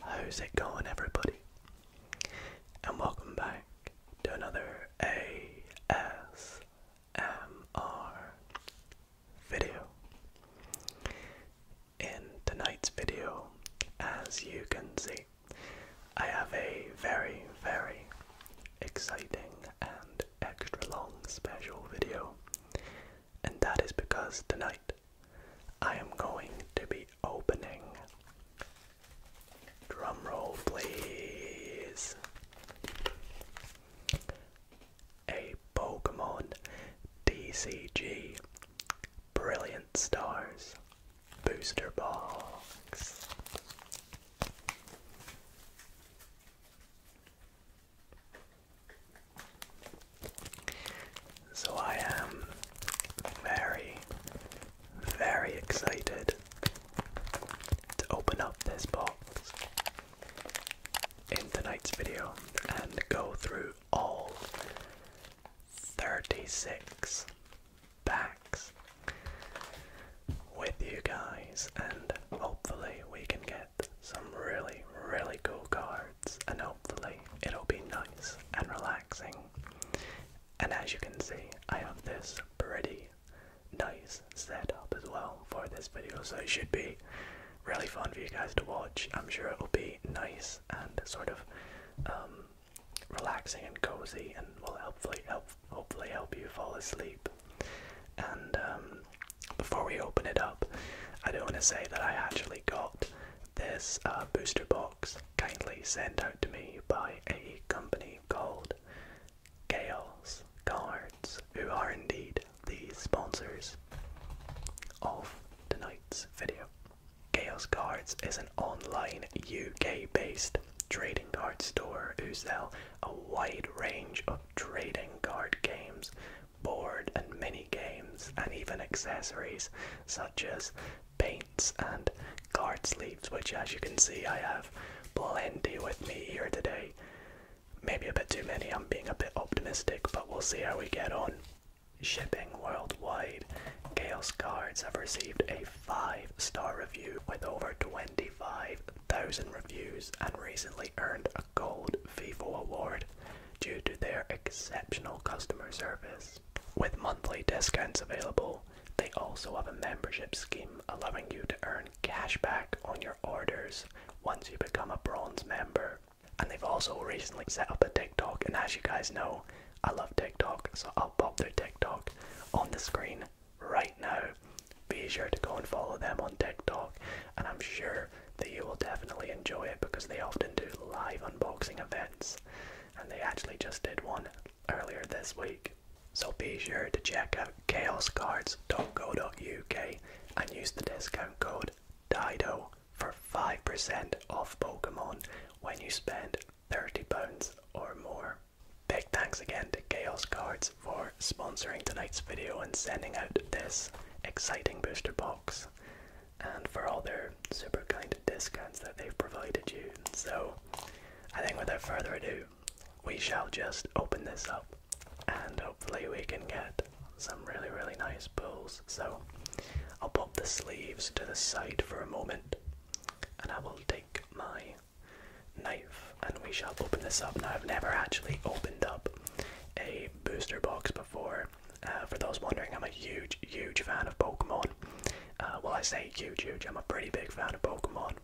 How's it going, everybody? And welcome back to another ASMR video. In tonight's video, as you can see, I have a very, very exciting and extra long special video and that is because tonight I am going to be opening. Drumroll, please. A Pokemon DCG Brilliant Stars Booster Box. So I am very, very excited to open up this box in tonight's video and go through all 36 packs with you guys and hopefully we can get some really really cool cards. I know hopefully it'll be nice and relaxing. And as you can see, I have this pretty nice setup as well for this video, so it should be really fun for you guys to watch. I'm sure it will be nice and sort of um, relaxing and cozy, and will hopefully help hopefully help you fall asleep. And um, before we open it up, I do not want to say that I actually got this uh, booster box kindly sent out to me by a company called Chaos Cards, who are indeed the sponsors of tonight's video. Chaos Cards is an online UK based trading card store who sell a wide range of trading card games board and mini games and even accessories such as paints and card sleeves which as you can see I have plenty with me here today. Maybe a bit too many, I'm being a bit optimistic, but we'll see how we get on. Shipping worldwide, Chaos Cards have received a 5 star review with over 25,000 reviews and recently earned a Gold FIFO award due to their exceptional customer service. With monthly discounts available, they also have a membership scheme allowing you to earn cash back on your orders once you become a bronze member. And they've also recently set up a TikTok, and as you guys know, I love TikTok, so I'll pop their TikTok on the screen right now. Be sure to go and follow them on TikTok, and I'm sure that you will definitely enjoy it because they often do live unboxing events, and they actually just did one earlier this week. So be sure to check out chaoscards.co.uk and use the discount code DIDO for 5% off Pokemon when you spend £30 or more. Big thanks again to Chaos Cards for sponsoring tonight's video and sending out this exciting booster box, and for all their super kind discounts that they've provided you. So I think without further ado, we shall just open this up and hopefully we can get some really, really nice pulls. So I'll pop the sleeves to the side for a moment and I will take my knife and we shall open this up. Now I've never actually opened up a booster box before uh, for those wondering, I'm a huge, huge fan of Pokemon. Uh, well, I say huge, huge. I'm a pretty big fan of Pokemon.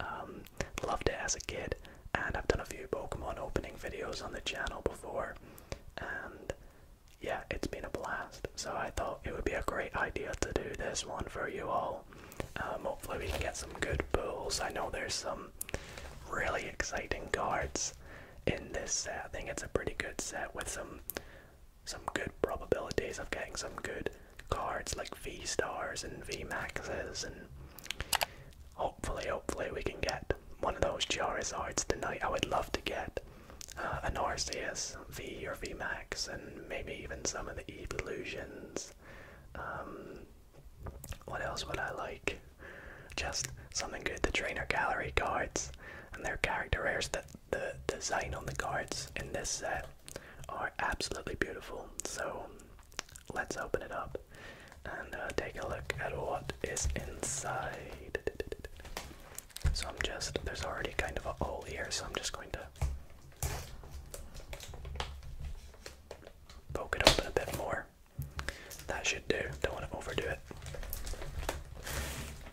Um, loved it as a kid, and I've done a few Pokemon opening videos on the channel before, and yeah, it's been a blast. So I thought it would be a great idea to do this one for you all. Um, hopefully, we can get some good pulls. I know there's some really exciting cards in this set. I think it's a pretty good set with some some good probabilities of getting some good cards like V stars and V maxes and hopefully hopefully we can get one of those Charizards tonight. I would love to get uh, an Arceus V or V Max and maybe even some of the evolutions. Um, what else would I like? just something good. The trainer gallery cards and their character rares. That the design on the cards in this set are absolutely beautiful. So let's open it up and uh, take a look at what is inside. So I'm just, there's already kind of a hole here, so I'm just going to poke it open a bit more. That should do, don't want to overdo it.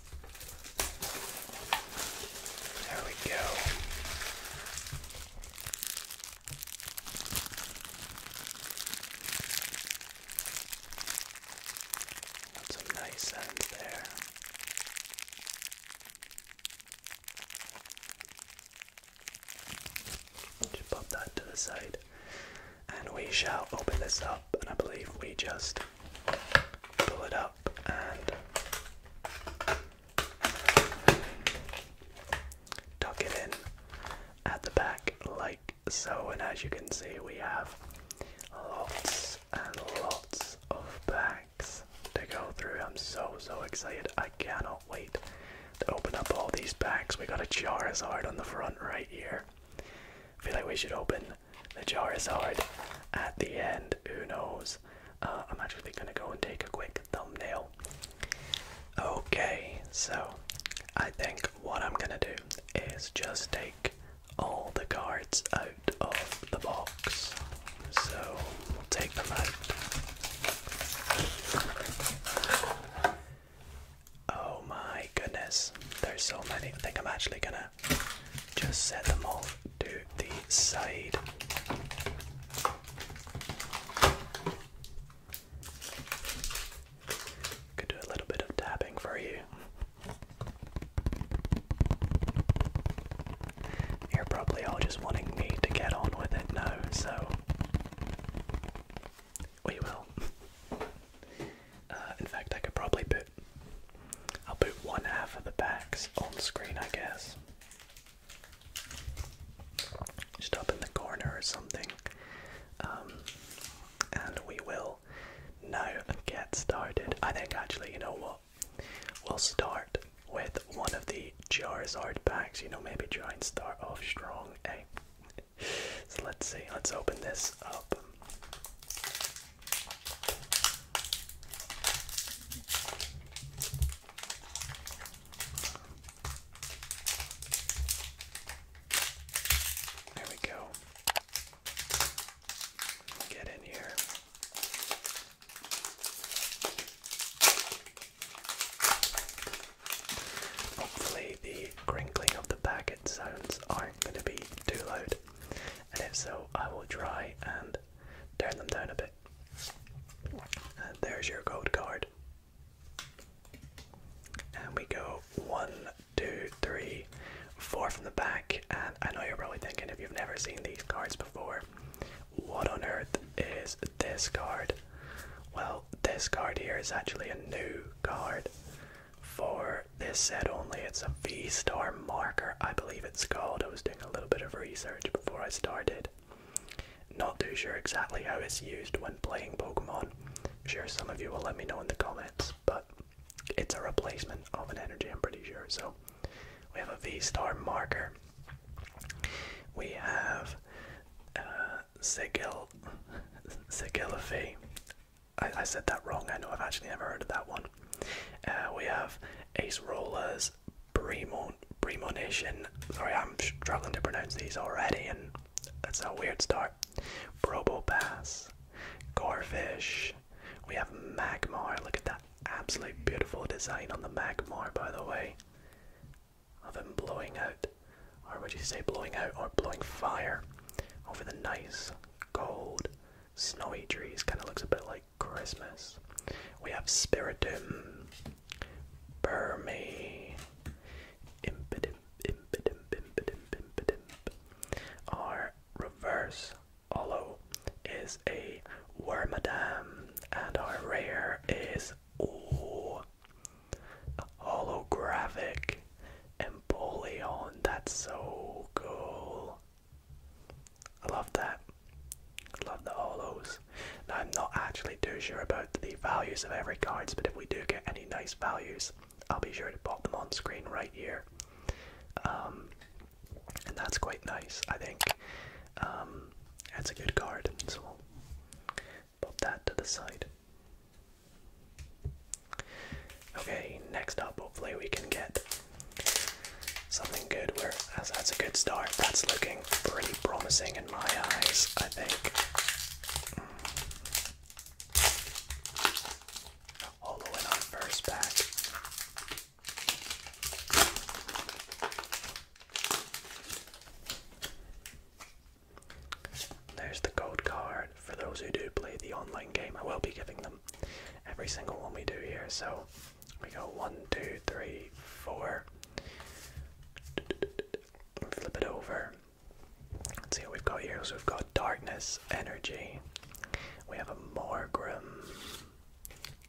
There we go. That's nice sound there. Just pop that to the side. And we shall open this up, and I believe we just pull it up and tuck it in at the back like so and as you can see we have lots and lots of bags to go through. I'm so so excited. I cannot wait to open up all these bags. We got a Charizard on the front right here. feel like we should open the jar is hard. at the end. Who knows? Uh, I'm actually gonna go and take a quick thumbnail. Okay, so I think what I'm gonna do is just take all the cards out of the box. So we'll take them out. Oh my goodness, there's so many. I think I'm actually gonna just set them all to the side. Could do a little bit of tapping for you. You're probably all just wanting me to get on with it now, so we will. Uh, in fact, I could probably put I'll put one half of the packs on screen, I guess. Just up in the corner or something. Um, and we will now get started. I think actually, you know what? We'll start with one of the Charizard packs. You know, maybe try and start off strong, eh? So let's see. Let's open this up. There we go. Get in here. Hopefully, the crinkling of the packet sounds aren't going to be too loud, and if so, I will try and turn them down a bit. there's your gold card. And we go one, two, three, four from the back. And I know you're probably thinking if you've never seen these cards before, what on earth is this card? Well, this card here is actually a new card for this set only. It's a V-Star marker, I believe it's called. I was doing a little bit of research before I started. Not too sure exactly how it's used when playing Pokemon. I'm sure some of you will let me know in the comments, but it's a replacement of an energy, I'm pretty sure. So we have a V-Star marker. We have uh, Sigil, Sigilophy. I, I said that wrong, I know I've actually never heard of that one. Uh, we have Ace Rollers, Premon Premonition. Sorry, I'm struggling to pronounce these already, and that's a weird start. Probopass, Gorefish. We have Magmar. Look at that absolutely beautiful design on the Magmar, by the way. Of him blowing out, or would you say blowing out or blowing fire over the nice gold snowy trees? Kind of looks a bit like Christmas. We have Spiritum, Burmy, Impidimp, Impidimp, Impidimp, Impidimp. Our reverse hollow is a Wormadam, and our rare is oh, holographic Empoleon. That's so cool. I love that. I love the holos. Now I'm not actually too sure about the values of every cards, but if we do get any nice values, I'll be sure to pop them on screen right here. Um, and that's quite nice, I think. Um, that's a good card, so we'll pop that to the side. Okay, next up, hopefully we can get Something good where that's, a good start. That's looking pretty promising in my eyes, I think. Mm. on first pack. There's the gold card for those who do play the online game. I will be giving them every single one we do here, so we got one, two, three, four. Flip it over. Let's see what we've got here. So we've got darkness, energy. We have a Morgrim.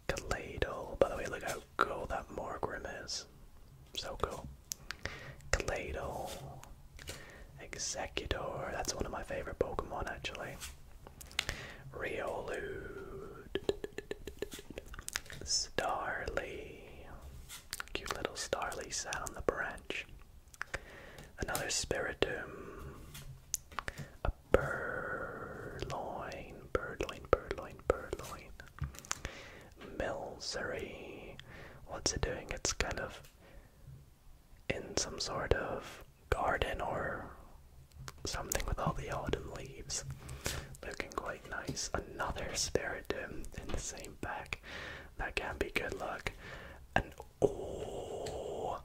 Kaladal. By the way, look how cool that Morgrim is. So cool. Kaladal. Executor. That's one of my favorite Pokemon actually. Riolu, Starly, cute little Starly sat on the branch. Another Spiritomb, a Purloin, Birdloin, Birdloin, Birdloin, Milsery. What's it doing? It's kind of in some sort of garden or something with all the autumn leaves. Looking quite nice. Another spirit doom in the same pack. That can be good luck. And oh,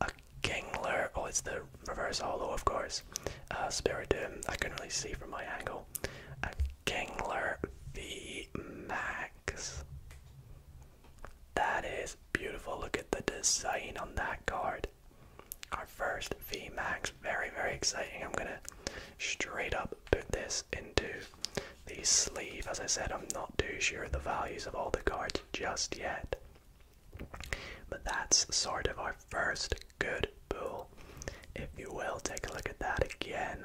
a Gangler. Oh, it's the reverse hollow, of course. Uh, spirit doom. I can not really see from my angle. A Gangler V Max. That is beautiful. Look at the design on that card get our first VMAX. Very, very exciting. I'm gonna straight up put this into the sleeve. As I said, I'm not too sure of the values of all the cards just yet. But that's sort of our first good pool, if you will. Take a look at that again.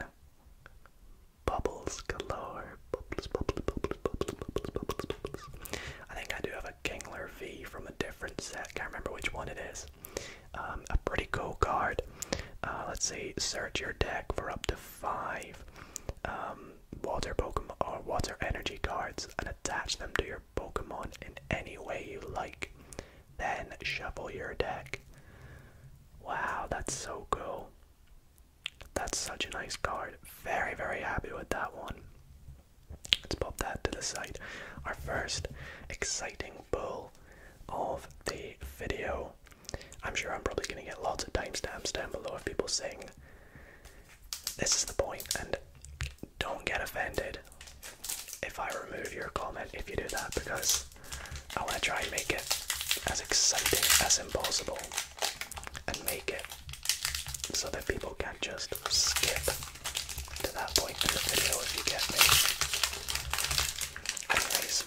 Bubbles galore. Bubbles, bubbles, bubbles, bubbles, bubbles, bubbles, bubbles. I think I do have a Kingler V from a different set. Can't remember which one it is. Um, a pretty cool card. Uh, let's see. Search your deck for up to five um, water Pokemon or uh, water energy cards and attach them to your Pokemon in any way you like. Then shuffle your deck. Wow, that's so cool. That's such a nice card. Very, very happy with that one. Let's pop that to the side. Our first exciting pull of the video. I'm sure I'm probably going to get lots of timestamps down below of people saying this is the point, and don't get offended if I remove your comment if you do that because I want to try and make it as exciting as impossible and make it so that people can just skip to that point in the video if you get me. Anyways,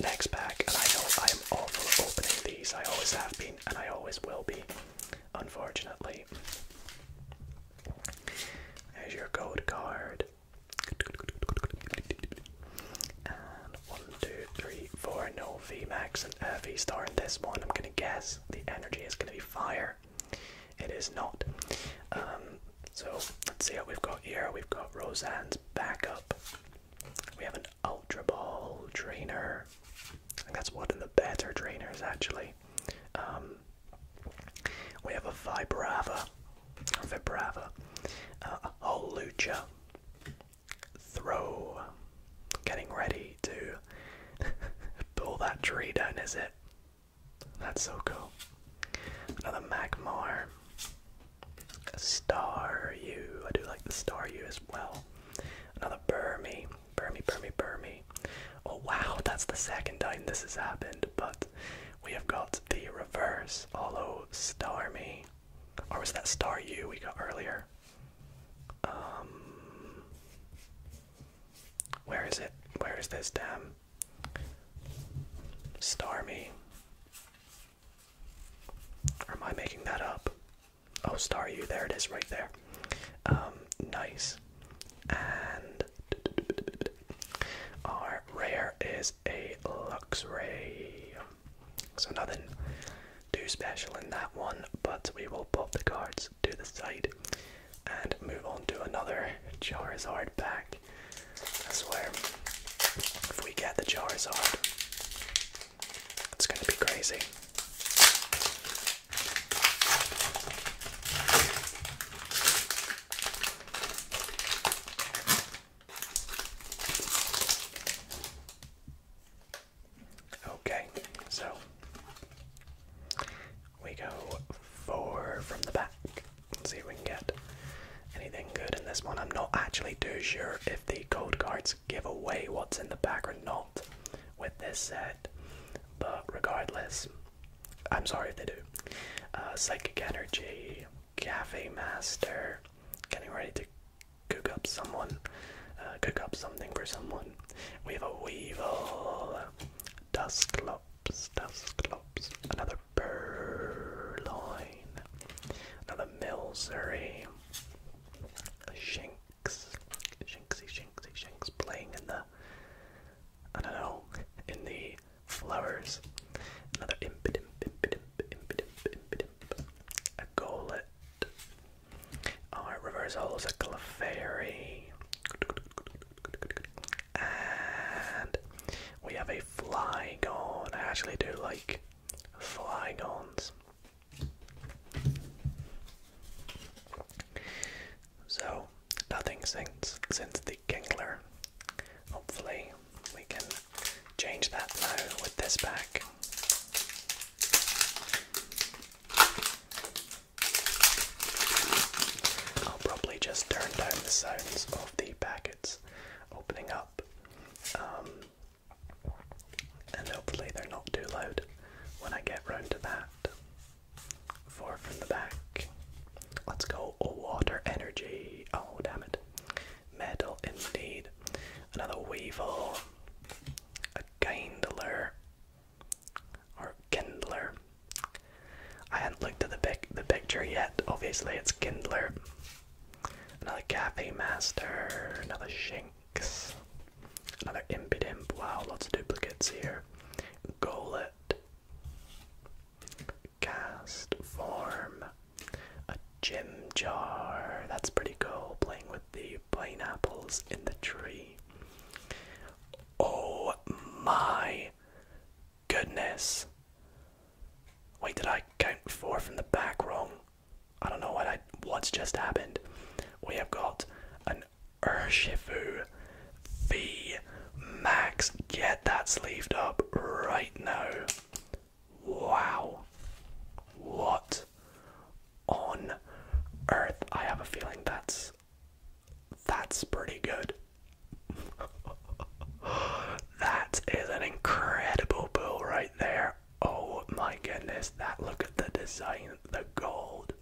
next pack, and I know I am awful opening these, I always have been, and I always will be, unfortunately. There's your code card. And one, two, three, four. No VMAX and V star in this one. I'm gonna guess the energy is going to be fire. It is not. Um, so let's see what we've got here. We've got Roseanne's backup. We have an Ultra Ball trainer. that's one of the better trainers actually. Um, we have a Vibrava, or Vibrava, uh, a Holucha, throw. Getting ready to pull that tree down, is it? That's so cool. Another Magmar. Star you. I do like the star you as well. Another Burmy. Burmy, Burmy, Burmy. Oh wow, that's the second time this has happened, but we have got the reverse. Star Me, Or was that Star you we got earlier? Um, where is it? Where is this damn Starmie? Or am I making that up? Oh, Star You, there it is right there. Um, nice. And our rare is a Luxray. So nothing too special in that one, but we will pop the cards to the side and move on to another Charizard pack. I swear, if we get the Charizard, it's going to be crazy. Okay, so we go four from the back. Let's see if we can get anything good in this one. I'm not actually too sure if the code cards give away what's in the back or not with this said, but regardless, I'm sorry if they do. Uh, Psychic Energy, Cafe Master, getting ready to cook up someone, uh, cook up something for someone. We have a weevil, dusclops, dusclops, another purloin, another milsery, a shinx, shinxy, shinxy, playing in the, I don't know, in the flowers. Another impidimp, a golet, Alright, reverse holo's a Clefairy. And we have a Flygon. I actually do like Flygons. So, nothing since, since the Kingler. Hopefully, we can change that now with this pack. I'll probably just turn down the sounds of the packets opening up, um, and hopefully they're not too loud when I get round to that. Four from the back. Let's go. Oh, water energy. Oh, damn it. Metal indeed. Another weevil. A kindler or Kindler. I have not looked at the pic the picture yet. Obviously, it's Kindler. Another Cafe Master, another Shinx, another Impidimp. Wow, lots of duplicates here. Golet, Cast Form, a Gym Jar. That's pretty cool, playing with the pineapples in the tree. Oh my goodness. Wait, did I count four from the back wrong? I don't know what I what's just happened. We have got an Urshifu V Max. Get that sleeved up right now. Wow. What on Earth. I have a feeling that's that's pretty good. that is an incredible pool right there. Oh my goodness, that look at the design, the gold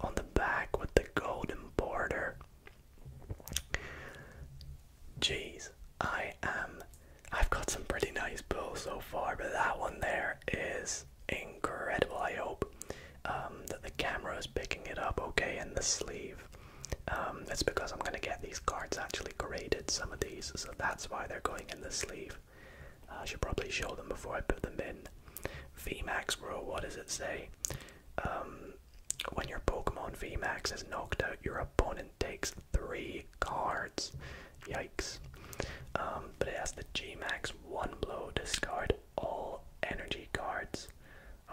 on the back with the golden border. Jeez, I am. I've got some pretty nice pools so far, but that one there is incredible. I hope um, that the camera is picking it up okay in the sleeve. Um, it's because I'm gonna get these cards actually graded, some of these, so that's why they're going in the sleeve. I should probably show them before I put them in. VMAX bro. what does it say? Um, when your Pokemon VMAX is knocked out, your opponent takes three cards. Yikes. Um, but it has the G Max one blow discard all energy cards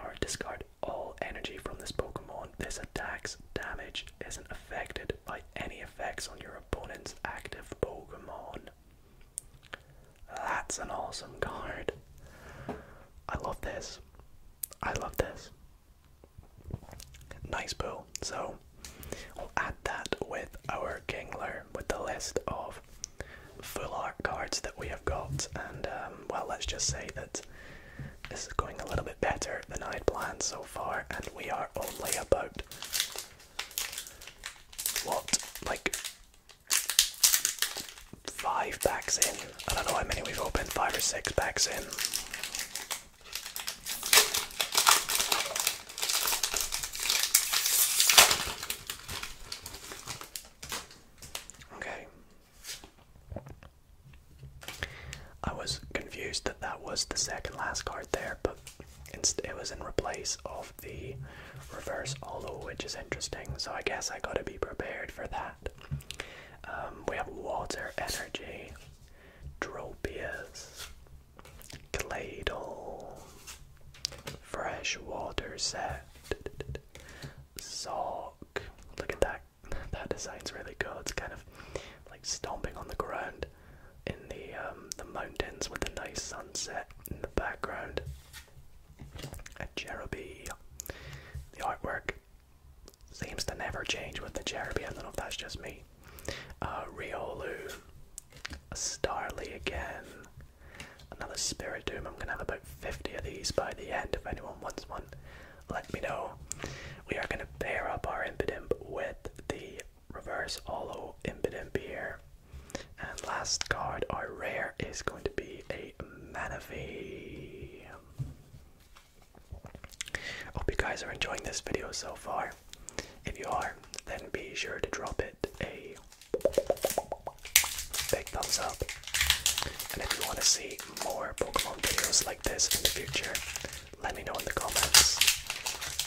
or discard all energy from this Pokemon. This attack's damage isn't affected by any effects on your opponent's active Pokemon. That's an awesome card. I love this. I love this. Nice pool. So we'll add that with our Kingler with the list of full art cards that we have got, and um, well, let's just say that this is going a little bit better than I'd planned so far, and we are only about what, like five packs in? I don't know how many we've opened, five or six packs in. Okay. I was confused that that was the second last card there, but it was in replace of the reverse holo, which is interesting. So I guess I gotta be prepared for that. Um, we have water energy, Dropius, Cladle, Freshwater Set, Sock. Look at that. That design's really good. It's kind of like stomping on the ground in the um, the mountains with a nice sunset in the background. A Cherubi. The artwork seems to never change with the Cherubi. I don't know if that's just me. Uh, Riolu. Starly again. Another Spirit Doom. I'm going to have about 50 of these by the end. If anyone wants one, let me know. We are going to pair up our Impidimp with the Reverse Holo Impidimp here. And last card, our rare, is going to be a Manaphy. Hope you guys are enjoying this video so far. If you are, then be sure to drop it a big thumbs up. And if you want to see more Pokemon videos like this in the future, let me know in the comments.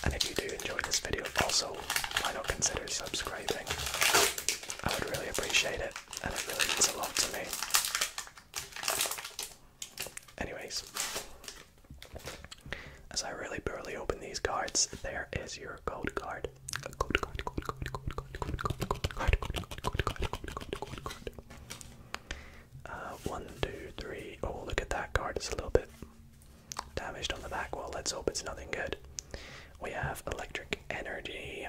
And if you do enjoy this video, also why not consider subscribing? I would really appreciate it, and it really means a lot to me. Anyways, as I really barely open these cards, there is your gold card. one, two, three. Oh, look at that card. It's a little bit damaged on the back. Well, let's hope it's nothing good. We have electric energy.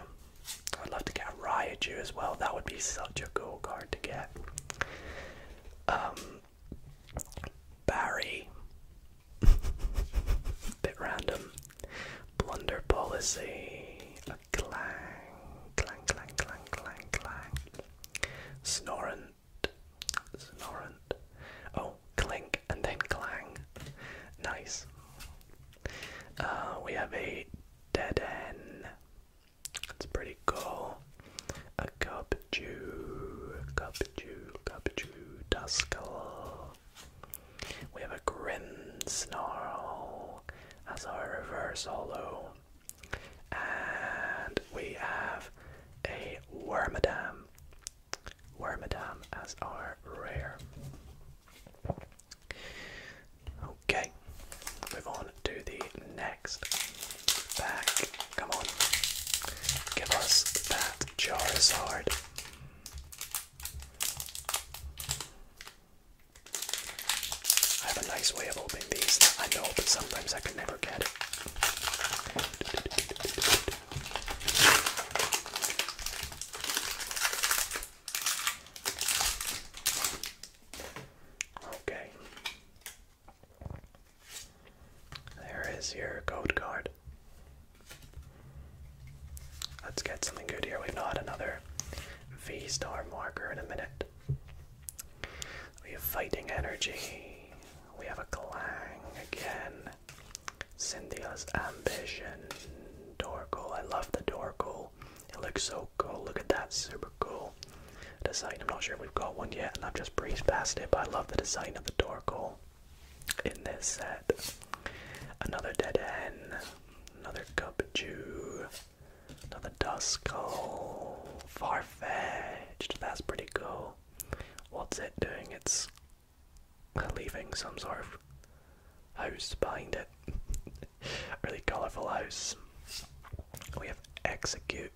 I'd love to get a Raichu as well. That would be such a cool card to get. Um, Barry. Bit random. Blunder policy. A clang, clang, clang, clang, clang, clang. Snorant, snorant. Oh, clink and then clang. Nice. Uh, we have a dead end. That's pretty cool. A cup Jew, cup Jew, cup Jew, Duskull. We have a Grim Snarl as our reverse holo. And we have a Wormadam. Wormadam as our rare. Okay, move on to the next Back, Come on, give us that Charizard. I have a nice way of opening these. I know, but sometimes I can never get it. Okay. There is your code card. Let's get something good here. We've got another V star marker in a minute. We have fighting energy. We have a clang again. Cynthia's ambition. Dorkle. I love the Dorkle. It looks so cool. Look at that. Super cool design. I'm not sure if we've got one yet, and I've just breezed past it, but I love the design of the Dorkle in this set. Another Dead End, another cup, Gubju, another Duskull, Farfetch'd, that's pretty cool. What's it doing? It's leaving some sort of house behind it. really colourful house. We have Execute.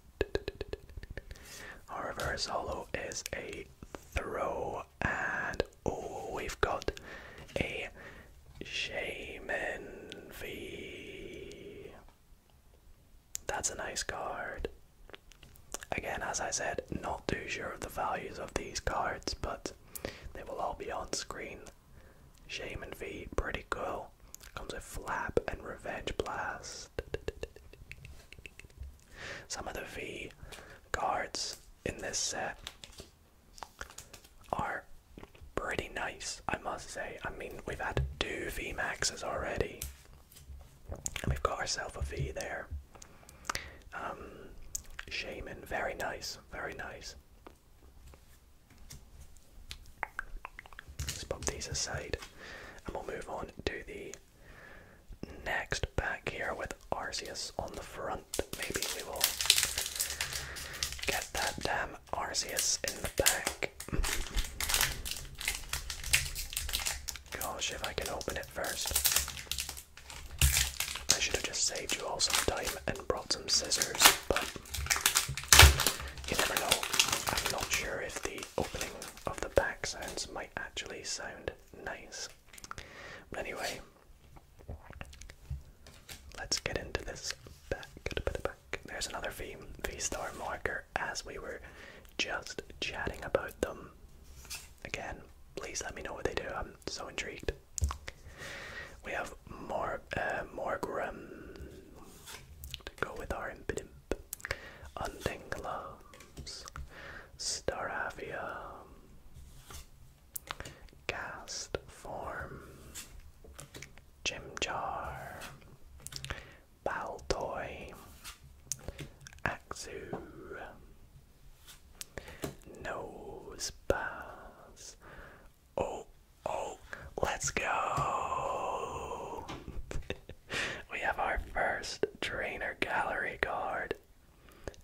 Our reverse hollow is a throw, and oh, we've got a Shaman V. That's a nice card. Again, as I said, not too sure of the values of these cards, but they will all be on screen. Shaman V, pretty cool. Comes with Flap and Revenge Blast. Some of the V cards in this set are pretty nice, I must say. I mean, we've had two V Maxes already, and we've got ourselves a V there. Um, Shaman, very nice, very nice. Let's pop these aside, and we'll move on to the Next, back here with Arceus on the front. Maybe we will get that damn Arceus in the back. Gosh, if I can open it first. I should have just saved you all some time and brought some scissors, but you never know. I'm not sure if the opening of the back sounds might actually sound nice. But anyway, let's get into this back. back. There's another V V star marker as we were just chatting about them. Again, please let me know what they do. I'm so intrigued. We have more uh, Morgrim to go with our impidimp. Untingla, Staravia, Cast Form, Jimjar, Baltoy, Axu, Nosepass. Oh, oh, let's go! we have our first trainer gallery guard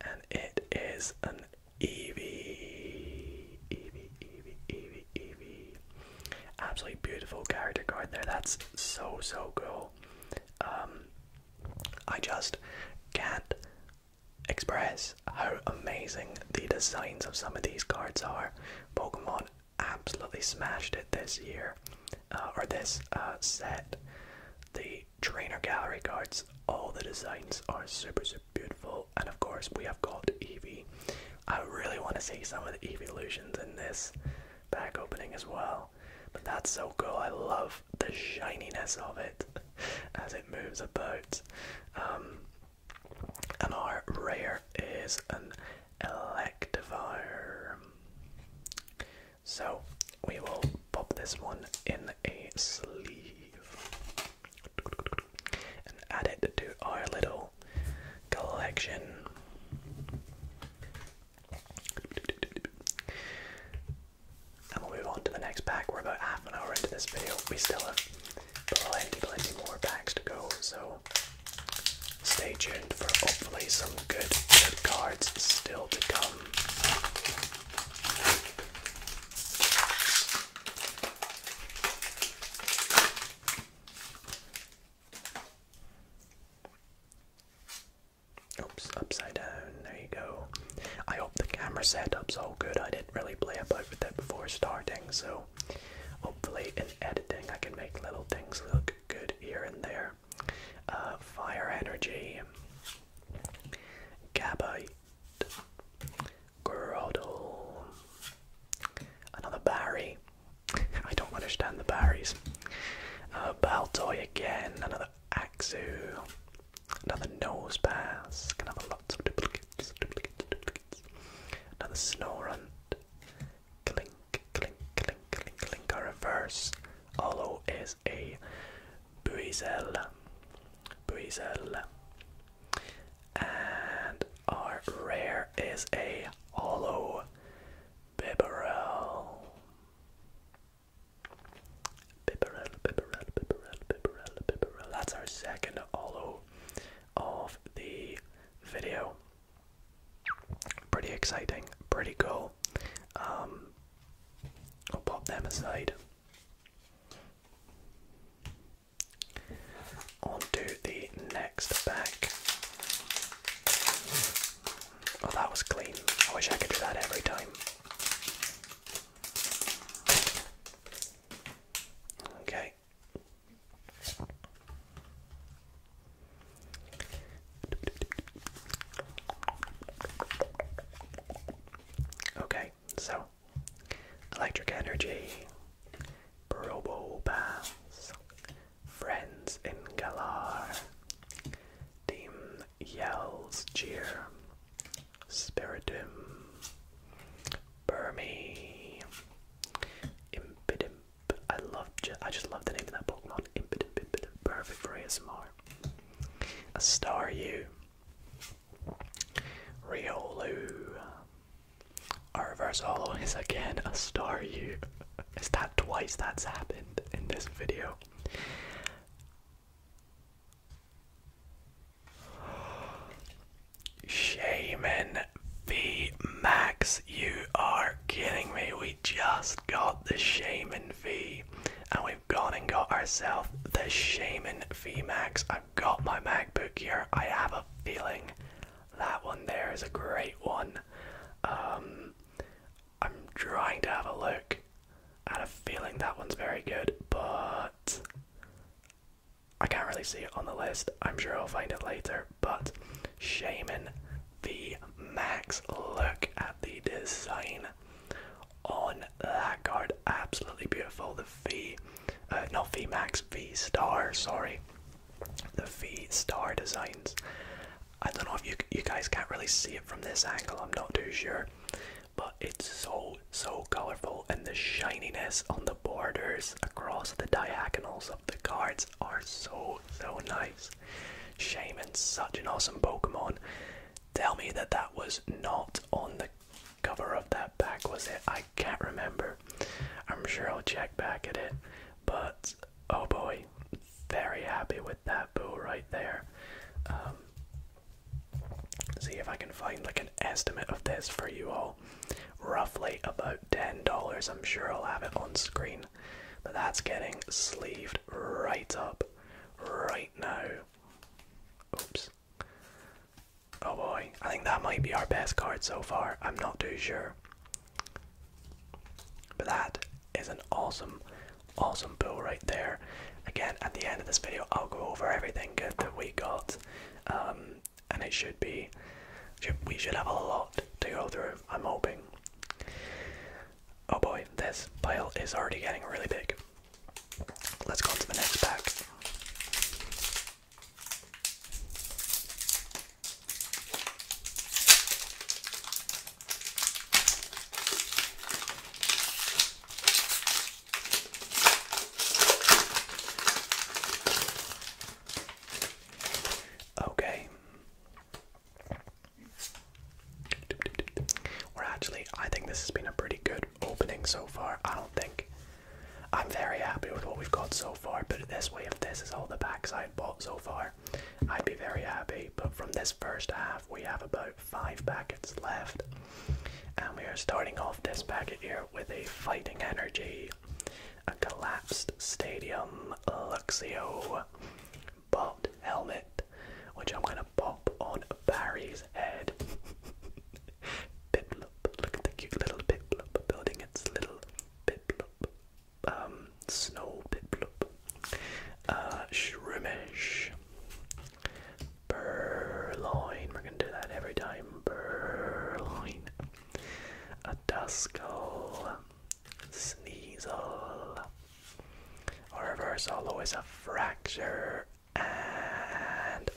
and it is an Eevee. Eevee, Eevee, Eevee, Eevee. Absolutely beautiful character card there. That's so, so cool. Um, I just can't express how amazing the designs of some of these cards are. Pokemon absolutely smashed it this year. Uh, or this uh, set, the trainer gallery cards. All the designs are super, super beautiful, and of course we have got Eevee. I really want to see some of the illusions in this back opening as well. But that's so cool. I love the shininess of it as it moves about. Um, and our rare is an Electivire. So we will pop this one in a sleeve and add it to our little collection. And we'll move on to the next pack. We're about half an hour into this video. We still have plenty, plenty more packs to go, so stay tuned for hopefully some good, good cards still to come. Oops, upside down. There you go. I hope the camera setup's all good. I didn't really play about with that before starting, so hopefully in editing I can make little things look good here and there fire, uh, fire energy, gabite, groddle, another Barry. I don't understand the Barrys. Uh, Baltoy again, another Axu, another Nosepass, can have lots of duplicates, duplicates, duplicates. Another Snorunt, Clink, Clink, Clink, Clink, Clink, a reverse Arlo is a Buizel. Buizel. And our rare is a hollow Bibarel. Bibarel, Bibarel, Bibarel, Bibarel, Bibarel. That's our second hollow of the video. Pretty exciting, pretty cool. Um, I'll pop them aside. Onto the next back. Oh, that was clean. I wish I could do that every time. Okay. Okay, so electric energy, Probo Friends in Galar, Team Yells Cheer, Spiritum, Burmy, Impidimp. I love, I just love the name of that Pokemon, Impidimp, perfect for ASMR. A star you. Riolu. A reverse hollow is again a star you. Is that twice that's happened in this video? Shaman V Max, you are kidding me. We just got the Shaman V and we gone and got ourselves the Shaman Max. I've got my MacBook here. I have a feeling that one there is a great one. Um, I'm trying to have a look. I had a feeling that one's very good, but I can't really see it on the list. I'm sure I'll find it later. But Shaman Max. look at the design on that card. Absolutely beautiful. The V, uh, no V Max, V Star. Sorry, the V Star designs. I don't know if you you guys can't really see it from this angle. I'm not too sure, but it's so so colorful, and the shininess on the borders across the diagonals of the cards are so so nice. Shaman's such an awesome Pokemon. Tell me that that was not on the cover of that pack, was it? I can't remember. I'm sure I'll check back at it. But oh boy, very happy with that bull right there. Um, see if I can find like an estimate of this for you all. Roughly about $10. I'm sure I'll have it on screen. But that's getting sleeved right up right now. Oops. Oh boy, I think that might be our best card so far. I'm not too sure. But that is an awesome, awesome pool right there. Again, at the end of this video, I'll go over everything good that we got, um, and it should be, we should have a lot to go through. I'm hoping. Oh boy, this pile is already getting really big. Let's go on to the next pack. Okay. Well, actually, I think this has been a pretty good opening so far. I don't think I'm very happy with what we've got so far, but this way, if this is all the backside bought so far, I'd be very happy. But from this first half, we have about five packets left, and we are starting off this packet here with a fighting energy, a collapsed stadium, Luxio buffed helmet, which I'm gonna pop on Barry's head. Piplup, look at the cute little Piplup building its little Piplup, um, snow Piplup. Uh, Shroomish. we're gonna do that every time. Purloin. A Duskull. Sneasel. A reverse hollow is a fracture. And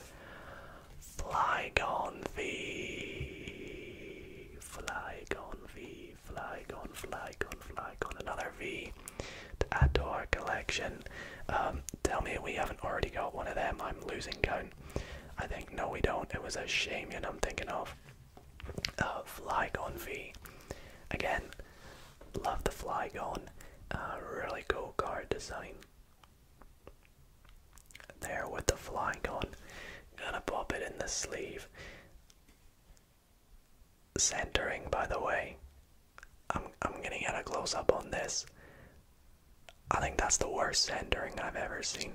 Flygon V. Flygon V. Flygon, Flygon, Flygon. Another V to add to our collection. Um, tell me we haven't already got one of them. I'm losing count. I think, no, we don't. It was a shame, Shamian I'm thinking of. Uh, Flygon V. Again, Love the Flygon. Uh, really cool card design. There with the Flygon. Gonna pop it in the sleeve. Centering, by the way. I'm I'm gonna get a close up on this. I think that's the worst centering I've ever seen.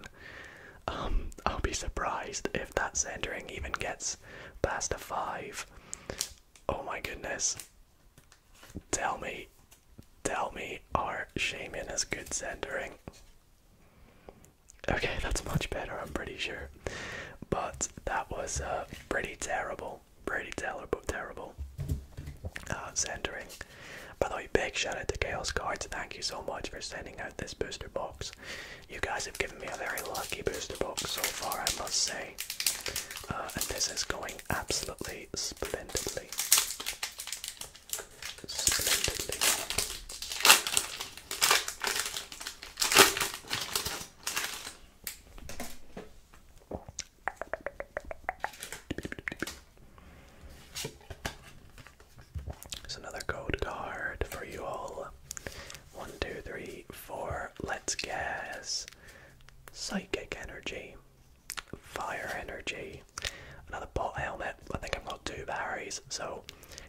Um, I'll be surprised if that centering even gets past a five. Oh my goodness. Tell me, tell me, our shaman is good centering. Okay, that's much better, I'm pretty sure. But that was uh, pretty terrible, pretty terrible, terrible uh, centering. By the way, big shout out to Chaos Cards. Thank you so much for sending out this booster box. You guys have given me a very lucky booster box so far, I must say. Uh, and this is going absolutely splendidly. Splendidly. There's another code card for you all. One, two, three, four. Let's guess psychic energy, fire energy, another bot helmet. I think I've got two Barrys, so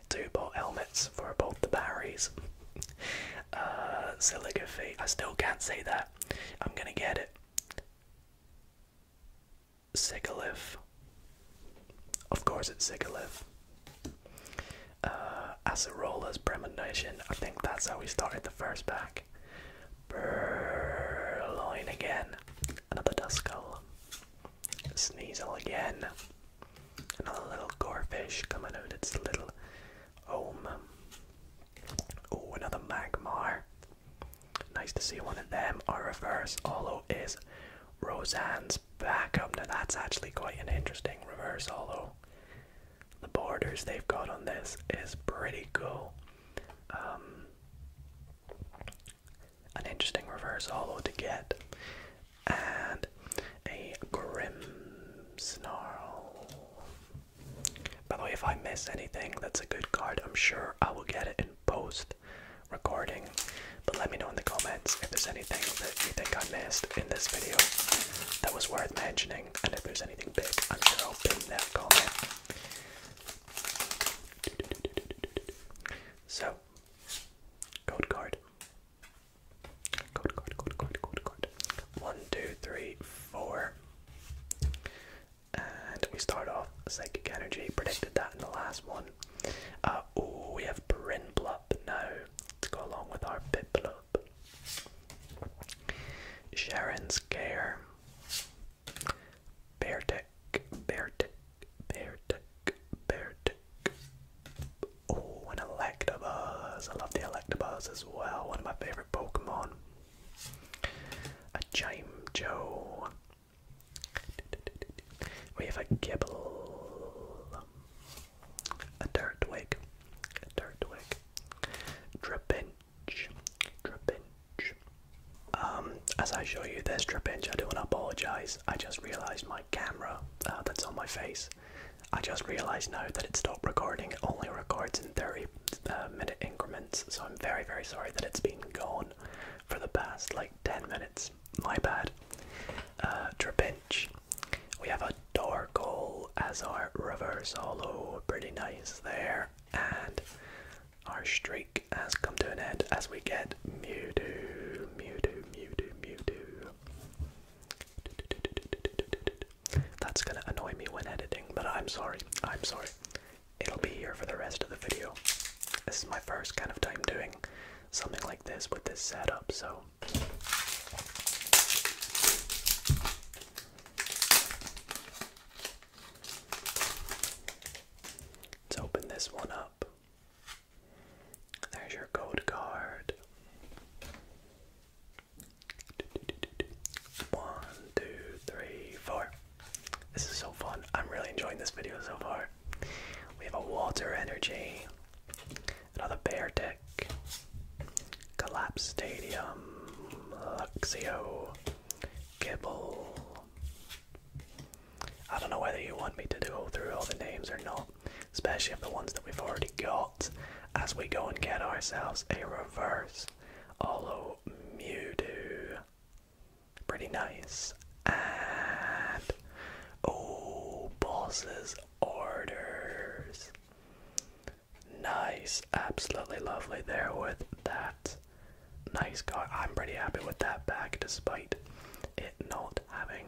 two bot helmets for both the Barrys. uh, Siligraphy, I still can't see that. I'm gonna get it. Sigalith. Of course it's Sigalith. Uh, Acerola's premonition, I think that's how we started the first back, Burloin again. Another Duskull. Sneasel again. Another little Gorefish coming out its little home. Oh, another Magmar. Nice to see one of them. Our reverse holo is Roseanne's backup. Now that's actually quite an interesting reverse holo the borders they've got on this is pretty cool. Um, an interesting reverse hollow to get, and a grim snarl. By the way, if I miss anything that's a good card, I'm sure I will get it in post recording. But let me know in the comments if there's anything that you think I missed in this video that was worth mentioning anything, and if there's anything big, I'm sure I'll pin that comment. So, code card. Code card, code card, code card. One, two, three, four. And we start off Psychic Energy. Predicted that in the last one. Uh, oh, we have Brinblup now to go along with our Piplup. Sharon's care. Bear tech, bear tech, Oh, an Electabuzz. I love the Electabuzz as well. One of my favorite Pokemon. A Joe. We have a Gibble. A Dirtwig. A Dirtwig. Trapinch. Trapinch. Um, as I show you this trapinch, I do want to apologise. I just realised my camera uh, that's on my face. I just realised now that it stopped recording. It only records in 30 uh, minute increments, so I'm very, very sorry that it's been gone for the past like 10 minutes. My bad. Uh, trapinch. We have a Darkle as our reverse hollow. Pretty nice there. And our streak has come to an end as we get Mewtwo, Mewtwo, Mewtwo, Mewtwo. That's gonna annoy me when editing, but I'm sorry. I'm sorry. It'll be here for the rest of the video. This is my first kind of time doing something like this with this setup, so. Let's open this one up. There's your code card. One, two, three, four. This is so fun. I'm really enjoying this video so far. We have a water energy, another bear tail. Collapse Stadium, Luxio, Gibble. I don't know whether you want me to go through all the names or not, especially of the ones that we've already got, as we go and get ourselves a reverse Olo Mewtwo. Pretty nice. And oh, boss's orders. Nice, absolutely lovely there with that. Nice car. I'm pretty happy with that bag despite it not having.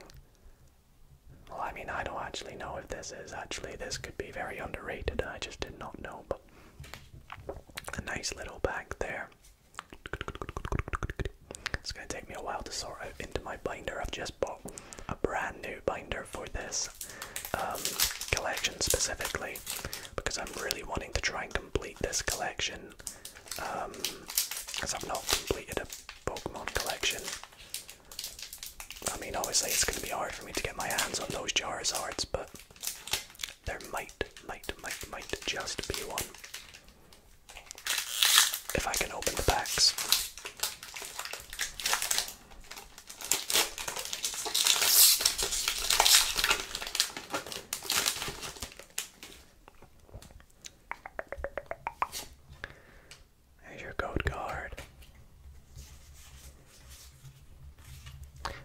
Well, I mean, I don't actually know if this is actually. This could be very underrated. I just did not know, but a nice little bag there. It's gonna take me a while to sort out into my binder. I've just bought a brand new binder for this um, collection specifically because I'm really wanting to try and complete this collection because um, I've not completed a Pokemon collection. I mean, obviously it's going to be hard for me to get my hands on those Charizards, but there might, might, might, might just be one. If I can open the packs. There's your code card.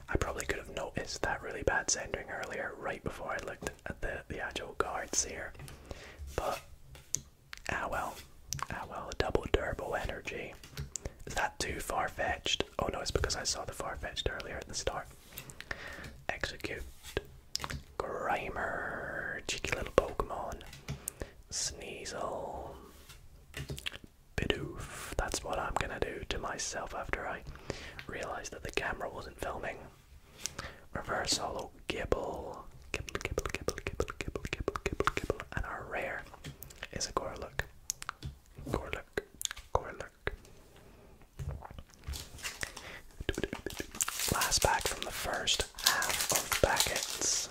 I probably could have noticed that really bad centering earlier, right before I looked at the the actual cards here, but ah well. Ah, well, double turbo energy. Is that too far fetched? Oh no, it's because I saw the far fetched earlier at the start. Execute. Grimer. Cheeky little Pokemon. Sneasel. Bidoof. That's what I'm gonna do to myself after I realize that the camera wasn't filming. Reverse hollow gibble. Gibble, gibble, gibble, gibble, gibble, gibble, gibble, And our rare is a Gorlook. Gorlock, Gorlock. Last pack from the first half of packets.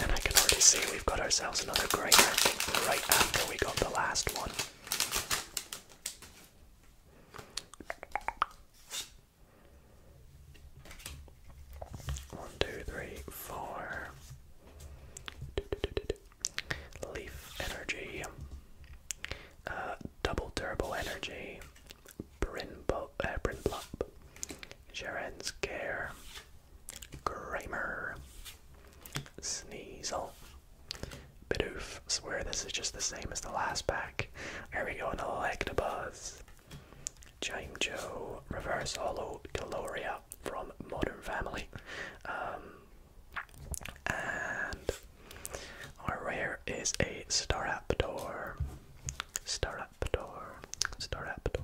And I can already see we've got ourselves another great ranking right after we got the last one. One, two, three, four. Leaf energy. Uh, double turbo energy. Brinbo, uh, Brinplop. Sharon's Care. Kramer. Sneasel. Bidoof. Swear this is just the same as the last pack. Here we go, an Electabuzz. Chime Reverse Hollow, Caloria, from Modern Family. Um, and our rare is a Staraptor. Staraptor. Staraptor.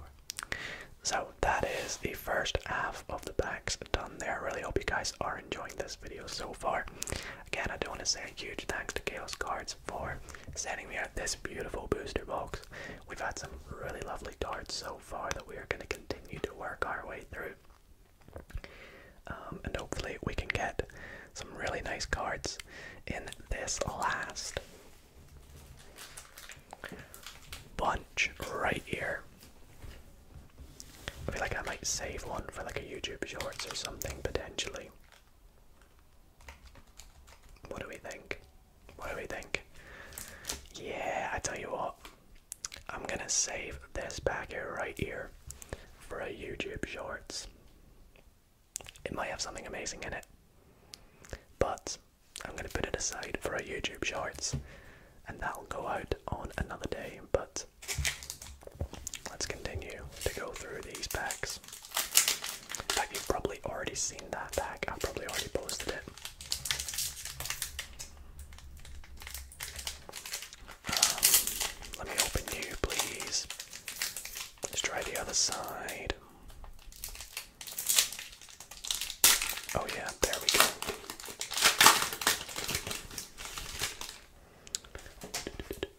So that is the first half of the packs done there. really hope you guys are enjoying this video so far. Again, I do want to say a huge thanks to Chaos Cards for sending me out this beautiful booster box. We've had some really lovely cards so far that we are going to continue to work our way through. Um, and hopefully, we can get some really nice cards in this last bunch right here. I feel like I might save one for like a YouTube Shorts or something potentially. What do we think? What do we think? Yeah, I tell you what, I'm gonna save this packet right here for a YouTube Shorts. It might have something amazing in it, but I'm gonna put it aside for a YouTube Shorts, and that'll go out on another day. But let's continue to go through these packs. In you've probably already seen that pack. I've probably already posted it. Um, let me open you, please. Let's try the other side. Oh, yeah, there we go.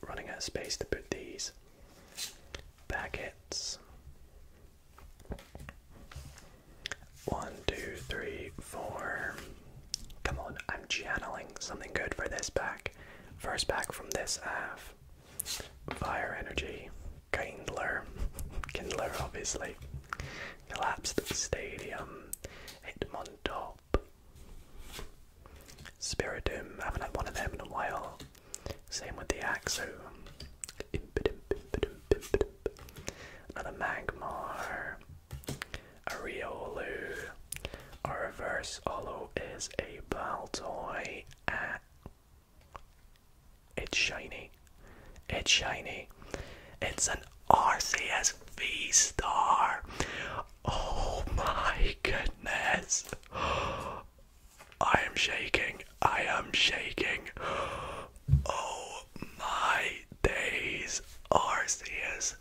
Running out of space to put these packets one, two, three, four. Come on, I'm channeling something good for this pack. First pack from this half. Fire energy. Kindler. Kindler, obviously. Collapsed Stadium. hit on Hitmontop. Spiritum. I haven't had one of them in a while. Same with the Axo another Magmar, a Riolu, a reverse holo is a Baltoy. Ah. It's shiny. It's shiny. It's an Arceus V Star. Oh my goodness. I am shaking. I am shaking. Oh my days, Arceus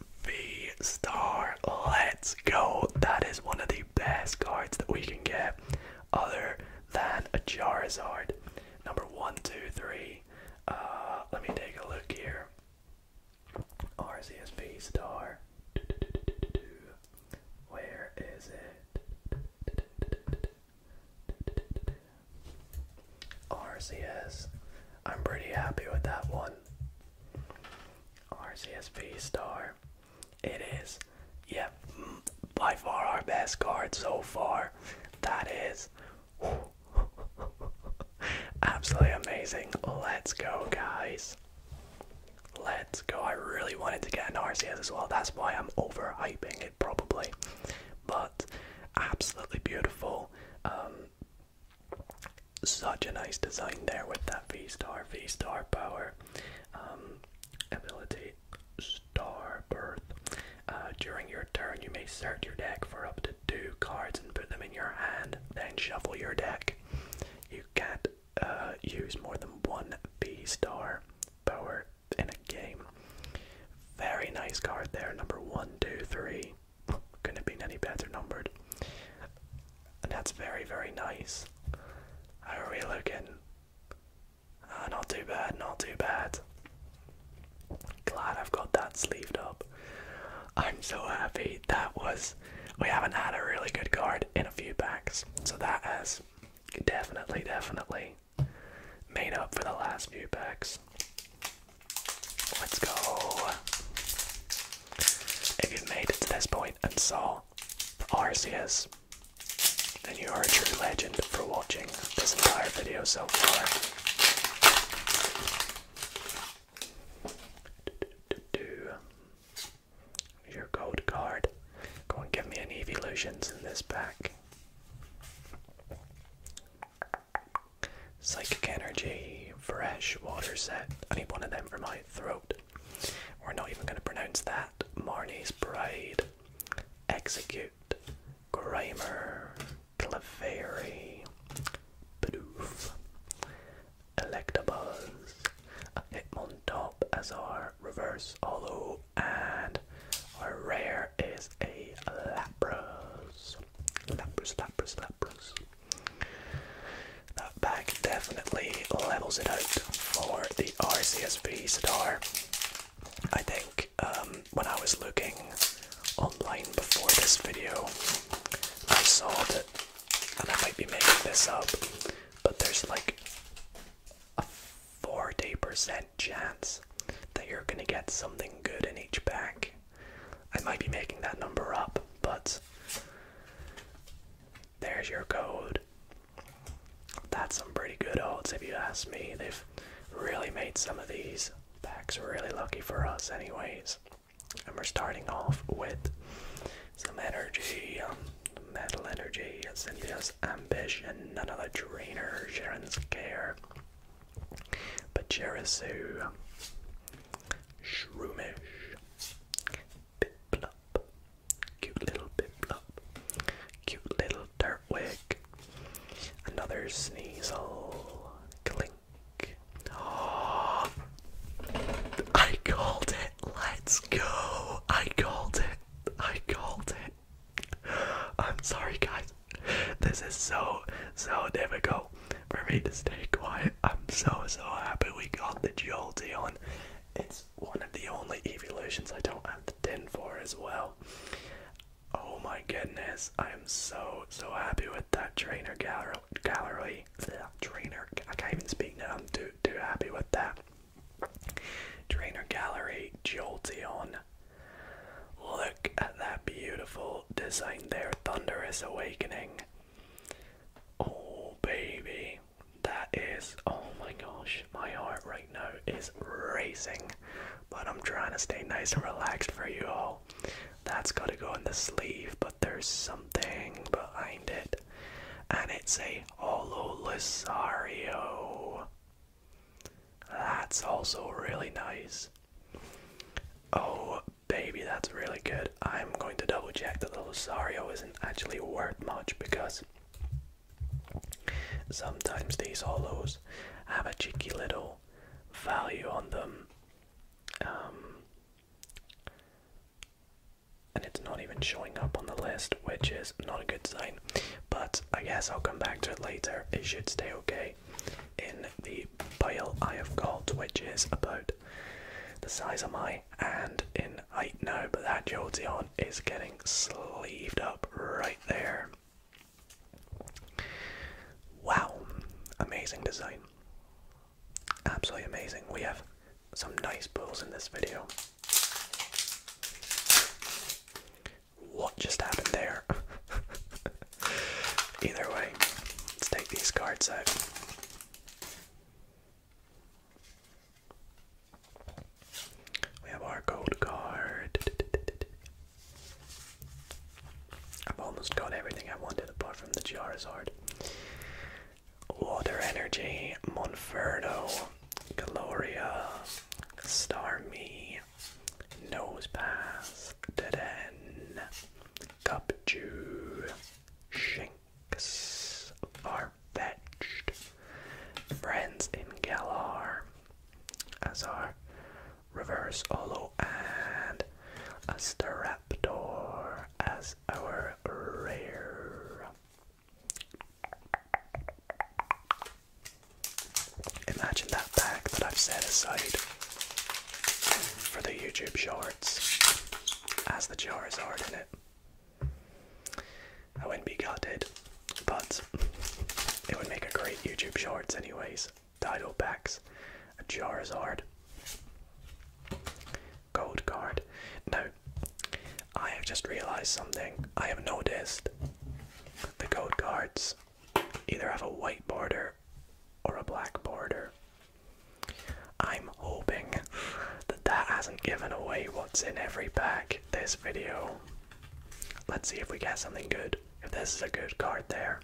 Star. Let's go. That is one of the best cards that we can get, other than a Charizard. Number one, two, three. Uh, let me take a look here. Arceus Star. Where is it? RCS. I'm pretty happy with that one. RCS Star. It is, yep, by far our best card so far. That is absolutely amazing. Let's go, guys. Let's go. I really wanted to get an RCS as well. That's why I'm overhyping it, probably but absolutely beautiful. Um, such a nice design there with that V star, V star power, um, ability, star birth. Uh, during your turn, you may search your deck for up to two cards and put them in your hand, then shuffle your deck. You can't uh, use more than one V star power in a game. Very nice card there, number one, two, three. Couldn't have any better numbered. And that's very, very nice. How are we looking? Ah, not too bad, not too bad. Glad I've got that sleeved up. I'm so happy. That was. We haven't had a really good card in a few packs, so that has definitely, definitely made up for the last few packs. Let's go. If you've made it to this point and saw Arceus, then you are a true legend for watching this entire video so far. Your gold card. Go and give me an Eeveelutions in this pack. Psychic Energy, Fresh Water Set. I need one of them for my throat. We're not even going to pronounce that. Marnie's Bride, Execute, Grimer, Clefairy, Bidoof, Electabuzz, Hitmontop as our Reverse Hollow and our rare is a Lapras. Lapras, Lapras, Lapras. That pack definitely levels it out for the RCSV star. I think um, when I was looking online before this video, I saw that, and I might be making this up, but there's like a 40% chance that you're going to get something good in each pack. I might be making that number up, but there's your code. That's some pretty good odds if you ask me. They've really made some of these packs really lucky for us, anyways. And we're starting off with some energy, um, metal energy, Cynthia's ambition, none another trainer, Sharon's care, Pachirisu, Shroomish, Biplop, cute little Biplop, cute little Dirtwig, another Sneasel, Clink. I called it, let's go! I called it, I called it. I'm sorry, guys. This is so, so difficult for me to stay quiet. I'm so, so happy we got the Jolteon. It's one of the only evolutions I don't have the tin for as well. Oh my goodness, I am so, so happy with that trainer gallery. gallery trainer, I can't even speak now, I'm too, too happy with that. Trainer Gallery Jolteon. Look at that beautiful design there, Thunderous Awakening. Oh, baby. That is, oh my gosh, my heart right now is racing. But I'm trying to stay nice and relaxed for you all. That's gotta go in the sleeve, but there's something behind it. And it's a Holo Lusario. That's also really nice. Oh, baby, that's really good. I'm going to double check that the Lusario isn't actually worth much because sometimes these hollows have a cheeky little value on them. Um, and it's not even showing up on the list, which is not a good sign. But I guess I'll come back to it later. It should stay okay in the pile I have got, which is about the size of my And in I know, But that Jolteon is getting sleeved up right there. Wow, amazing design. Absolutely amazing. We have some nice pulls in this video what just happened there? Either way, let's take these cards out. We have our gold card. I've almost got everything I wanted apart from the Charizard. Water Energy, Monferno, Gloria, Me. Nose pass. Deden. Cupju. Shinx. Far-fetched. Friends in Galar. Azar. Reverse Olo and Asteraptor as our rare. Imagine that bag that I've set aside for the YouTube shorts as the Charizard in it. I wouldn't be gutted, but it would make a great YouTube shorts, anyways. Title packs, a Charizard, gold card. Now, I have just realized something. I have noticed the gold cards either have a white border or a black border. I'm hoping that that hasn't given away what's in every pack this video. Let's see if we get something good. If this is a good card there.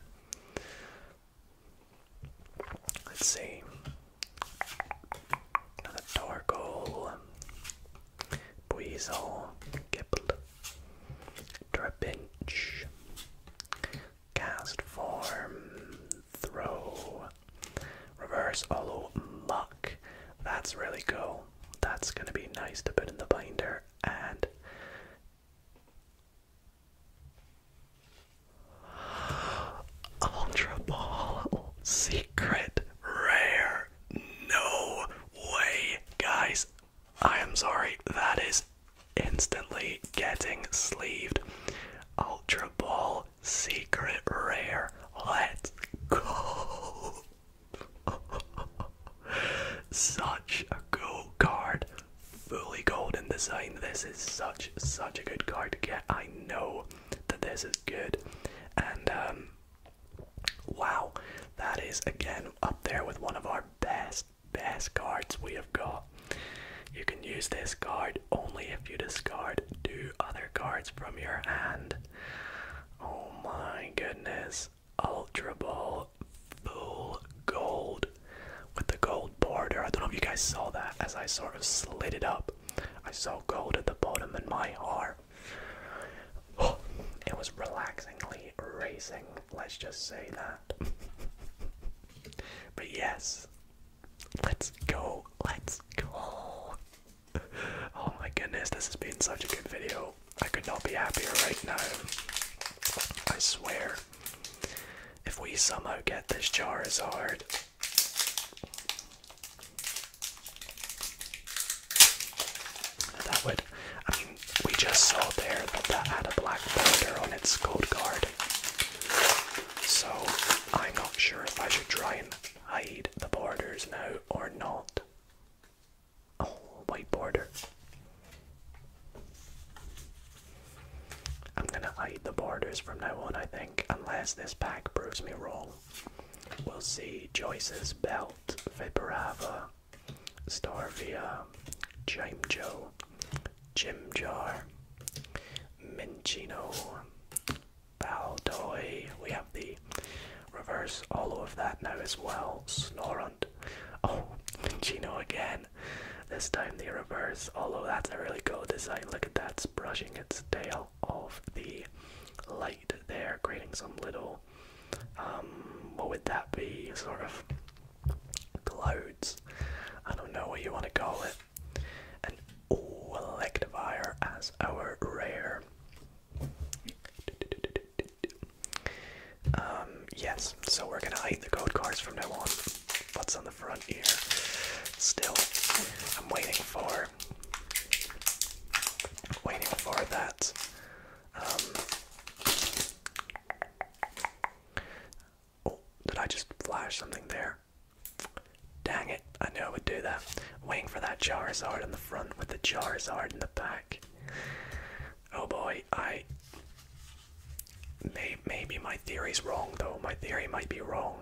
Let's see. Another Torkoal, Buizel, Giblet, Trepinch. Cast form. Throw. Reverse Olo Muck. That's really cool. That's going to be nice to put in the binder. And. Ultra Ball. Secret. Rare. No way. Guys, I am sorry, that is instantly getting sleeved. Ultra Ball Secret Rare. Let's go. such a cool card. Fully golden design. This is such, such a good card to get. I know that this is good. And um Wow, that is again up there with one of our best, best cards we have got. You can use this card only if you discard two other cards from your hand. Oh my goodness. Ultra Ball full gold with the gold border. I don't know if you guys saw that as I sort of slid it up. I saw gold at the bottom in my heart. it was relaxingly racing, let's just say that. but yes, let's go, let's go. Oh my goodness, this has been such a good video. I could not be happier right now. I swear. If we somehow get this jar as hard. That would, I mean, we just saw there that that had a black border on its gold guard. So I'm not sure if I should try and hide the borders now or not. Oh, white border. I'm gonna hide the borders from now on, I think, unless this pack proves me wrong. We'll see. Joyce's belt, Viperava, Starvia, Jimjo, Jimjar, Minchino, Baldoy. We have the reverse all of that now as well. Snorunt. Oh, Minchino again. This time the reverse. Although that's a really cool design. Look at that, brushing its tail off the light there, creating some little um, what would that be? Sort of clouds. I don't know what you want to call it. And oh, as our rare. Um, yes, so we're gonna hide the code cards from now on. What's on the front here? Still, I'm waiting for, waiting for that um, Oh, did I just flash something there? Dang it, I knew I would do that. Waiting for that Charizard in the front with the Charizard in the back. Oh boy, I. maybe my theory's wrong though. My theory might be wrong.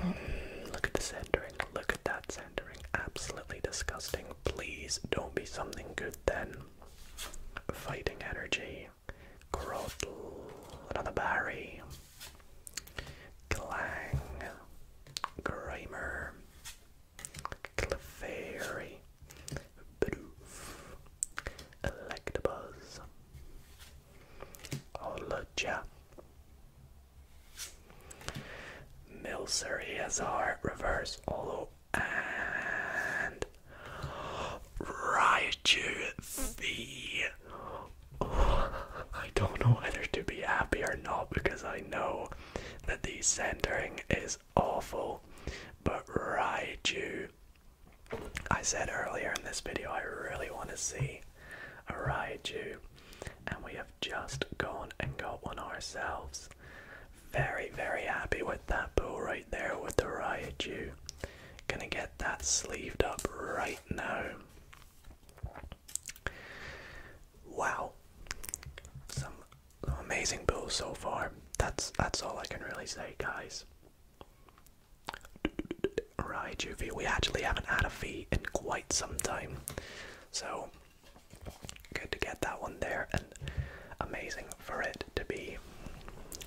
Hmm, look at the centering. Look at that pandering. Absolutely disgusting. Please don't be something good then. Fighting energy. Grottle. Another Barry. Clang. Grimer. Clefairy. Bidoof. Electabuzz. Olaja. Milseri Azar, reverse, although and Raichu V. Oh, I don't know whether to be happy or not because I know that the centering is awful, but you. I said earlier in this video I really want to see a you, and we have just gone and got one ourselves. Very, very happy with that bull right there with the Raichu. Gonna get that sleeved up right now. Wow. Some amazing bulls so far. That's that's all I can really say, guys. Right, Juvie, we actually haven't had a fee in quite some time. So Good to get that one there, and amazing for it to be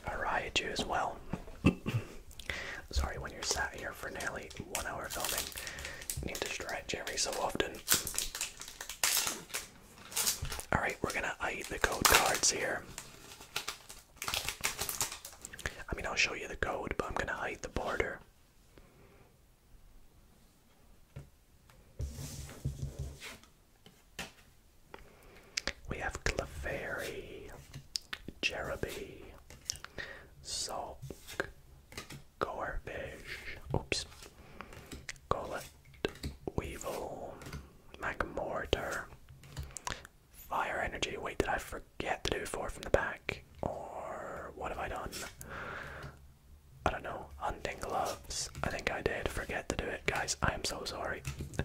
a Raichu as well. Sorry, when you're sat here for nearly one hour filming, you need to stretch every so often. Alright, we're gonna hide the code cards here. I mean, I'll show you the code, but I'm gonna hide the border. We have Clefairy, Jeremy, Sulk, Gorbish, oops, Golet, Weevil, Magmortar, Fire Energy. Wait, did I forget to do four from the back? Or what have I done? I don't know, hunting gloves. I think I did forget to do it, guys. I am so sorry.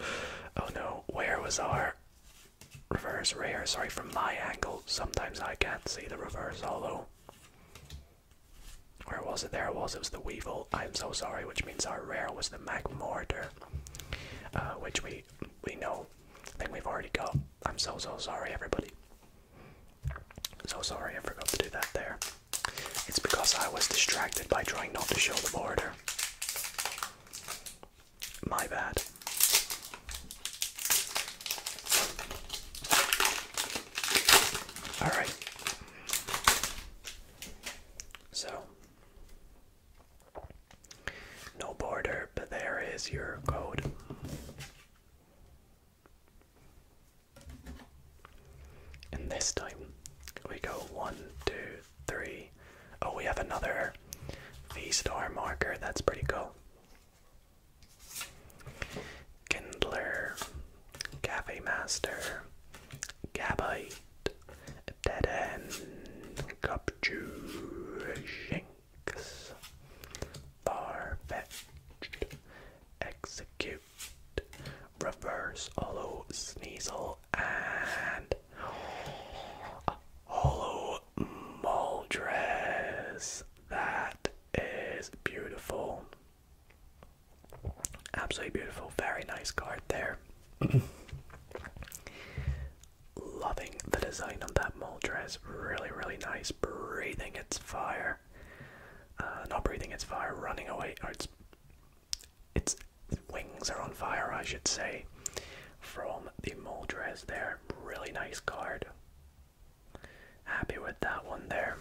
oh no, where was our reverse rare? Sorry, from my angle, sometimes I can't see the reverse, although. Where was it? There was. It was the Weevil. I'm so sorry, which means our rare was the Mac uh, which we we know. I think we've already got. I'm so so sorry, everybody. So sorry, I forgot to do that there. It's because I was distracted by trying not to show the border. My bad. Alright. So, no border, but there is your code. And this time we go one, two, three. Oh, we have another V star marker. That's pretty cool. Kindler, Cafe Master, Gabite, Dead End, Cupju, Execute. Reverse Hollow Sneasel and Hollow Moldress. That is beautiful. Absolutely beautiful. Very nice card there. Loving the design on that Moldress. Really, really nice. Breathing its fire fire. Uh, not breathing its fire, running away, or its, its wings are on fire, I should say, from the Moldrez there. Really nice card. Happy with that one there.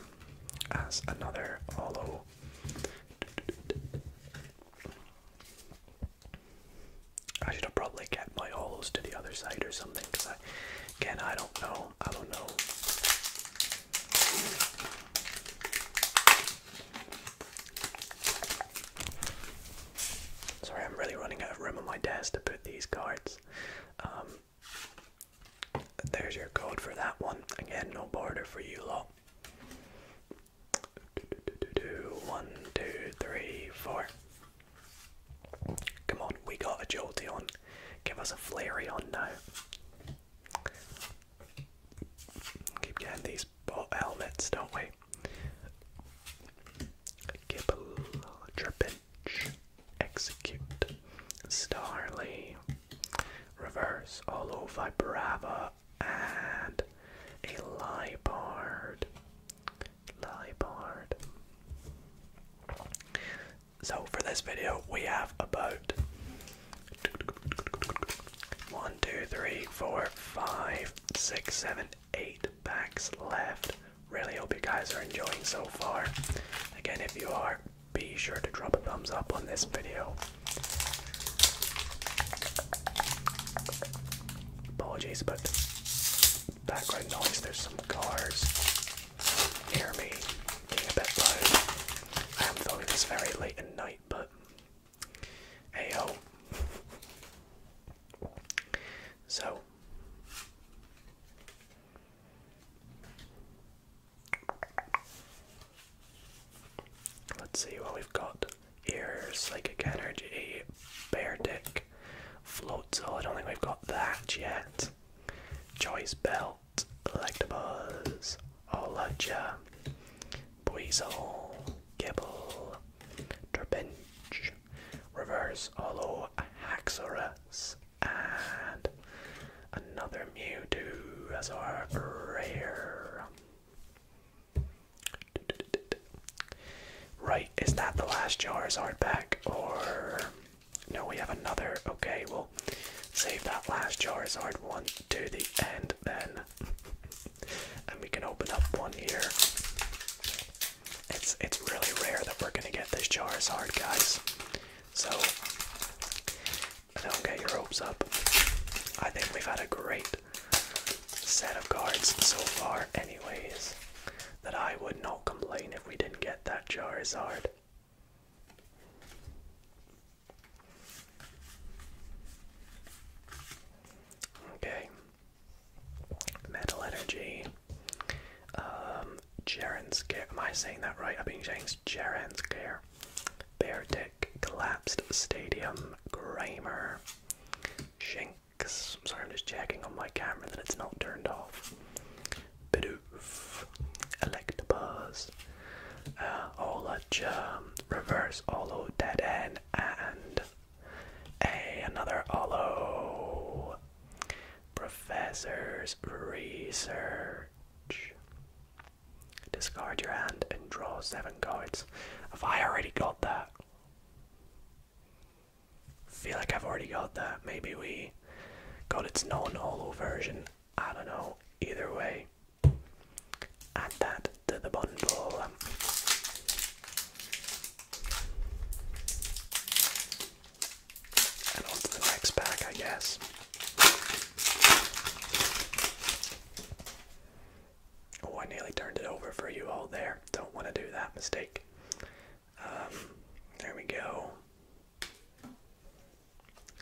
As another hollow. I should probably kept my hollows to the other side or something because again, I don't know. I don't know. Sorry, I'm really running out of room on my desk to put these cards. Um, there's your code for that one. Again, no border for you lot. One, two, three, four. Come on, we got a Jolteon. Give us a on now. Keep getting these ball helmets, don't we? Gibble, Trapinch, Execute, Starly, Reverse, all Olo Vibrava, and a Libard. Libard. So for this video, we have about one, two, three, four, five, six, seven, eight packs left. Really hope you guys are enjoying so far. Again, if you are, be sure to drop a thumbs up on this video. Apologies, but background noise. There's some cars hear me being a bit loud. I am filming this very late at night, but hey ho. So let's see what we've got. Ear, psychic energy, bear dick, float soul. I don't think we've got that yet. Joyce Bell, out Electabuzz, Olaja, Buizel, Gibble, Trapinch, Reverse Holo, Haxorus, and another Mewtwo as our rare. Right, is that the last Charizard back or no, we have another. Okay, we'll save that last Charizard one to the end then. and we can open up one here. It's it's really rare that we're gonna get this Charizard, guys. So don't get your hopes up. I think we've had a great set of cards so far anyways that I would not complain if we didn't get that Charizard. Okay. Metal energy. Um Gerens Am I saying that right? I've been saying Gerens care. Bear Dick, Collapsed Stadium, Grimer, Shinx. sorry, I'm just checking on my camera that it's not turned off. Bidoof, Electabuzz, uh, Reverse Olo Dead End, and a, another Olo. Professor's Research. Discard your hand and draw seven cards. Have I already got that? Feel like I've already got that. Maybe we got its non holo version. I don't know. Either way, add that to the bundle. And on the next pack, I guess. Oh, I nearly turned it over for you all there. Don't want to do that mistake. Um, there we go.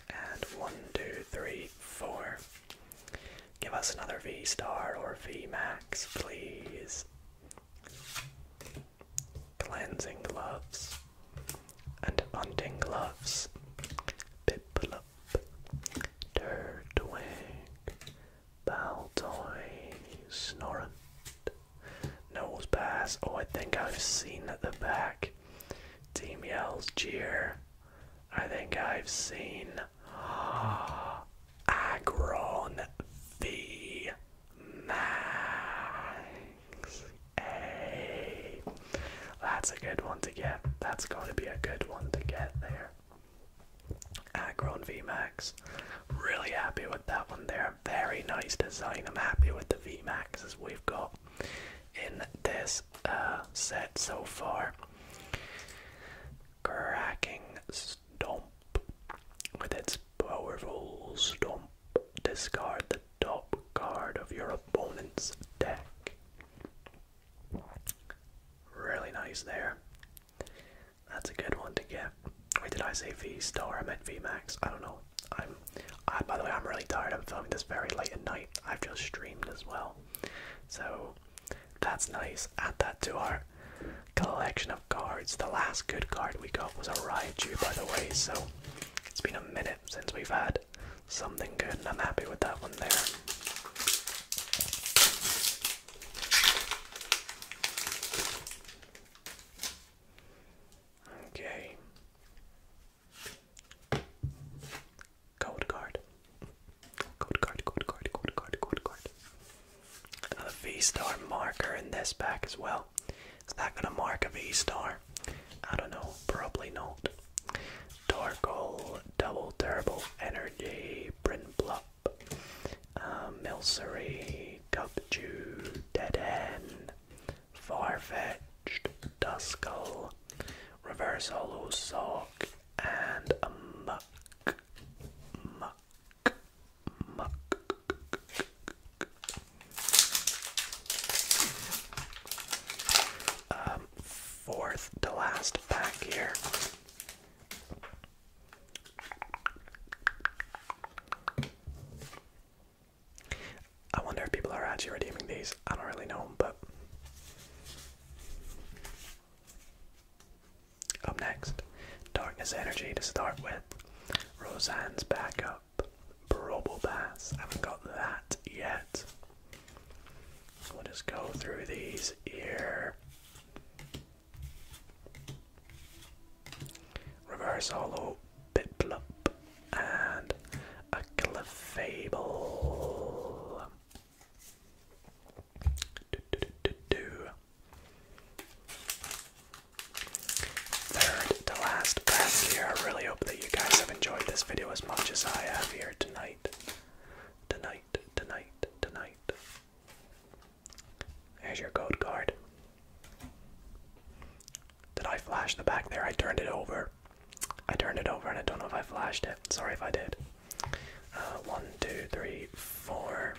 And one, two, three, four. Give us another V star or V max, please. Cleansing gloves and hunting gloves. Piplup, Turtwig, Baltoy, Snorunt, Nosepass. Oh, I think I've seen the back Team yells, cheer. I think I've seen Agron v. Max. that's a good one to get. That's going to be a good one to get there. Agron v. Max. Really happy with that one there. Very nice design. I'm happy with the v Maxes we've got in this uh, set so far. Cracking stomp with its powerful stomp. Discard the top card of your opponent's deck. Really nice there. That's a good one to get. Wait, did I say V star? I meant V max. I don't know. I'm, by the way, I'm really tired. I'm filming this very late at night. I've just streamed as well, so that's nice. Add that to our collection of cards. The last good card we got was a Raichu, by the way. So it's been a minute since we've had something good, and I'm happy with that one there. Okay. Code card. Code card, code card, code card, code card. Another V star marker in this pack as well. Is that gonna mark a V star? I don't know, probably not. Torkoal, Double Turbo, Energy, Brinblup, uh, Milcery, Gubju, Dead End, Farfetched, Duskull, Reverse Hollow Sock, and a Muck. Muck. Muck. Um, fourth to last pack here. I wonder if people are actually redeeming these. I don't really know, but up next, Darkness Energy to start with. Roseanne's backup, Barobo Bass. haven't got that yet. So we'll just go through these here. Reverse hollow Piplup, and a Clefable. Do, Third to last pack here. I really hope that you guys have enjoyed this video as much as I have here tonight. Tonight, tonight, tonight. There's your code card. Did I flash the back there? I turned it over. I turned it over and I don't know if I flashed it. Sorry if I did. Uh, one, two, three, four.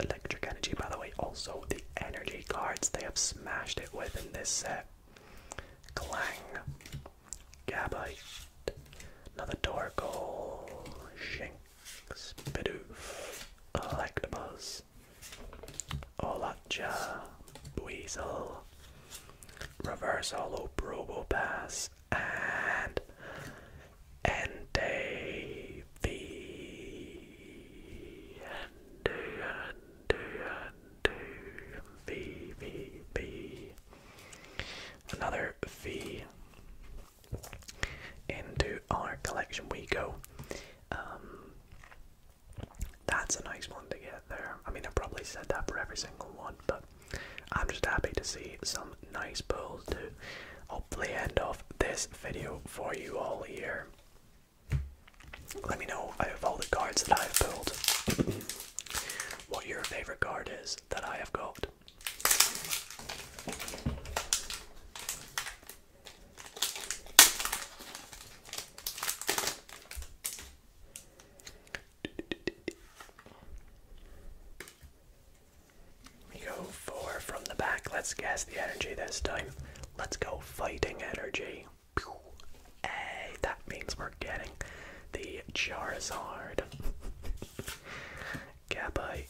Electric energy, by the way, also the energy cards they have smashed it with in this set. Clang. Gabite. Another Torkoal. Shinx. Bidoof. Electabuzz. Yes. Olacha, Buizel, Reversal, Probo Pass, and Ente V. Ente, Ente, Ente, Another V. Into our collection we go. Um, that's a nice one to get there. I mean, I probably said that for every single one, but I'm just happy to see some nice pulls to hopefully end off this video for you all here. Let me know out of all the cards that I've pulled what your favorite card is that I have got. We go four from the back. Let's guess the energy this time. Let's go fighting energy. Hey, that means we're getting the Charizard. Gabite,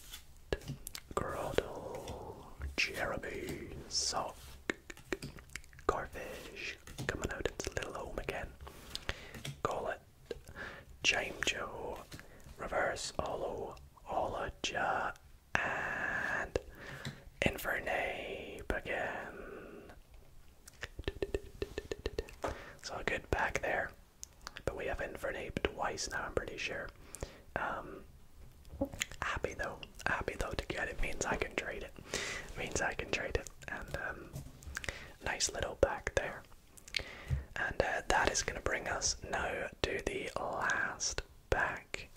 Groddle, Jeremy, Sock, Garfish coming out into Little Home again. Call it Jamejo, Reverse Hollow, Holoja, and Infernape again. So good back there. But we have Infernape twice now, I'm pretty sure. Um, Happy though, happy though to get it means I can trade it. Means I can trade it, and um, nice little back there. And uh, that is going to bring us now to the last back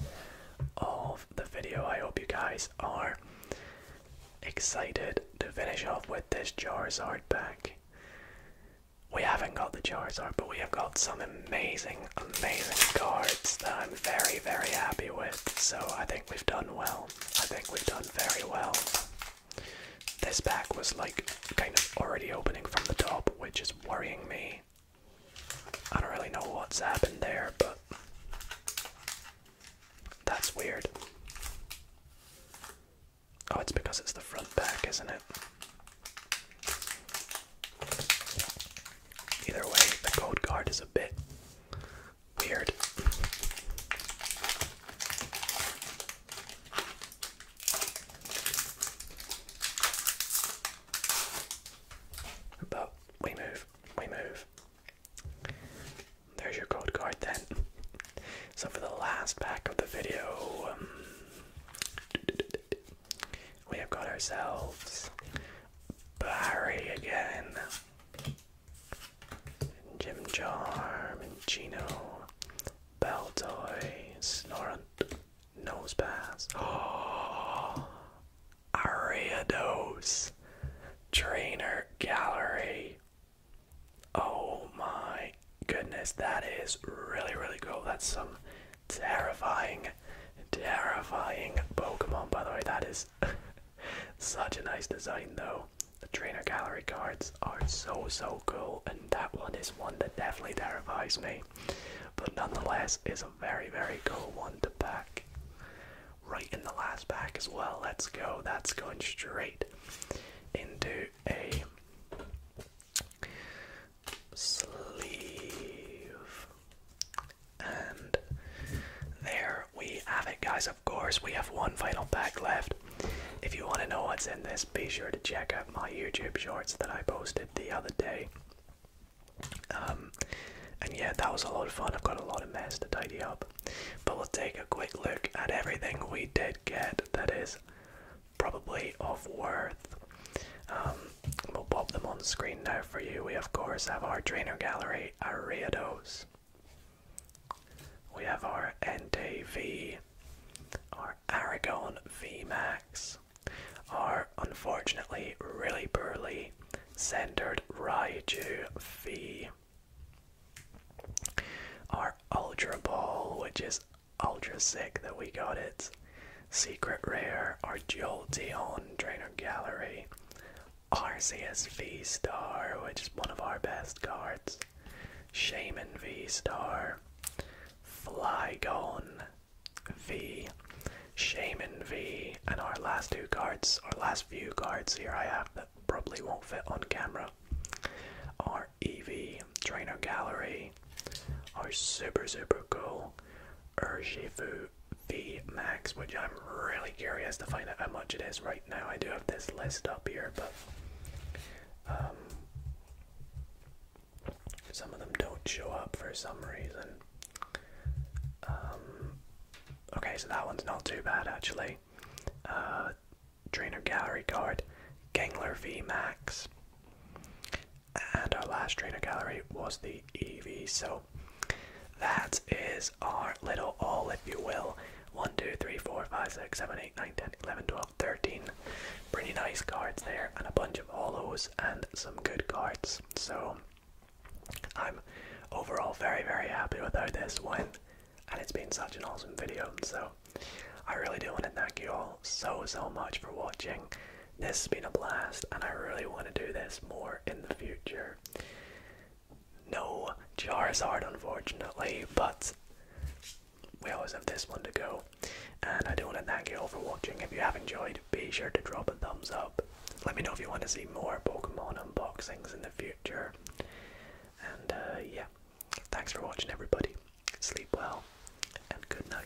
of the video. I hope you guys are excited to finish off with this Charizard back. We haven't got the Charizard, but we have got some amazing, amazing cards that I'm very, very happy with. So I think we've done well. I think we've done very well. This pack was like kind of already opening from the top, which is worrying me. I don't really know what's happened there, but that's weird. Oh, it's because it's the front pack, isn't it? Either way, the code card is a bit weird. But we move, we move. There's your code card then. So for the last pack of the video, um, we have got ourselves Barry again. Jim Charm Gino. Beltoy, Snorunt, Nosepass. Oh, Ariados. Trainer Gallery. Oh my goodness, that is really, really cool. That's some Terrifying, terrifying Pokemon, by the way. That is such a nice design, though. The trainer gallery cards are so, so cool, and that one is one that definitely terrifies me. But nonetheless, is a very, very cool one to pack. Right in the last pack as well. Let's go. That's going straight into a sleeve. And there we have it, guys. Of course, we have one final pack left. If you want to know what's in this, be sure to check out my YouTube shorts that I posted the other day. Um, and yeah, that was a lot of fun. I've got a lot of mess to tidy up. But we'll take a quick look at everything we did get that is probably of worth. Um, We'll pop them on screen now for you. We, of course, have our trainer gallery, our We have our NDV, our Aragon V Max, our unfortunately really burly centered Raichu V, our Ultra Ball, which is ultra sick that we got it, Secret Rare, our Jolteon Trainer Gallery, RCS V Star, which is one of our best cards, Shaman V Star, Flygon V, Shaman V, and our last two cards, our last few cards here I have that probably won't fit on camera are EV Trainer Gallery, our super super cool Urshifu V Max, which I'm really curious to find out how much it is right now. I do have this list up here, but um, some of them don't show up for some reason. Um, okay, so that one's not too bad actually. Uh, trainer gallery Guard, Gangler V Max. And our last trainer gallery was the EV. So that is our little all, if you will. 1, 2, 3, 4, 5, 6, 7, 8, 9, 10, 11, 12, 13. Pretty nice cards there, and a bunch of hollows and some good cards. So I'm overall very, very happy with how this went, and it's been such an awesome video. So I really do want to thank you all so, so much for watching. This has been a blast, and I really want to do this more in the future here. No Charizard, unfortunately, but we always have this one to go. And I do want to thank you all for watching. If you have enjoyed, be sure to drop a thumbs up. Let me know if you want to see more Pokemon unboxings in the future. And uh, yeah, thanks for watching, everybody. Sleep well, and good night.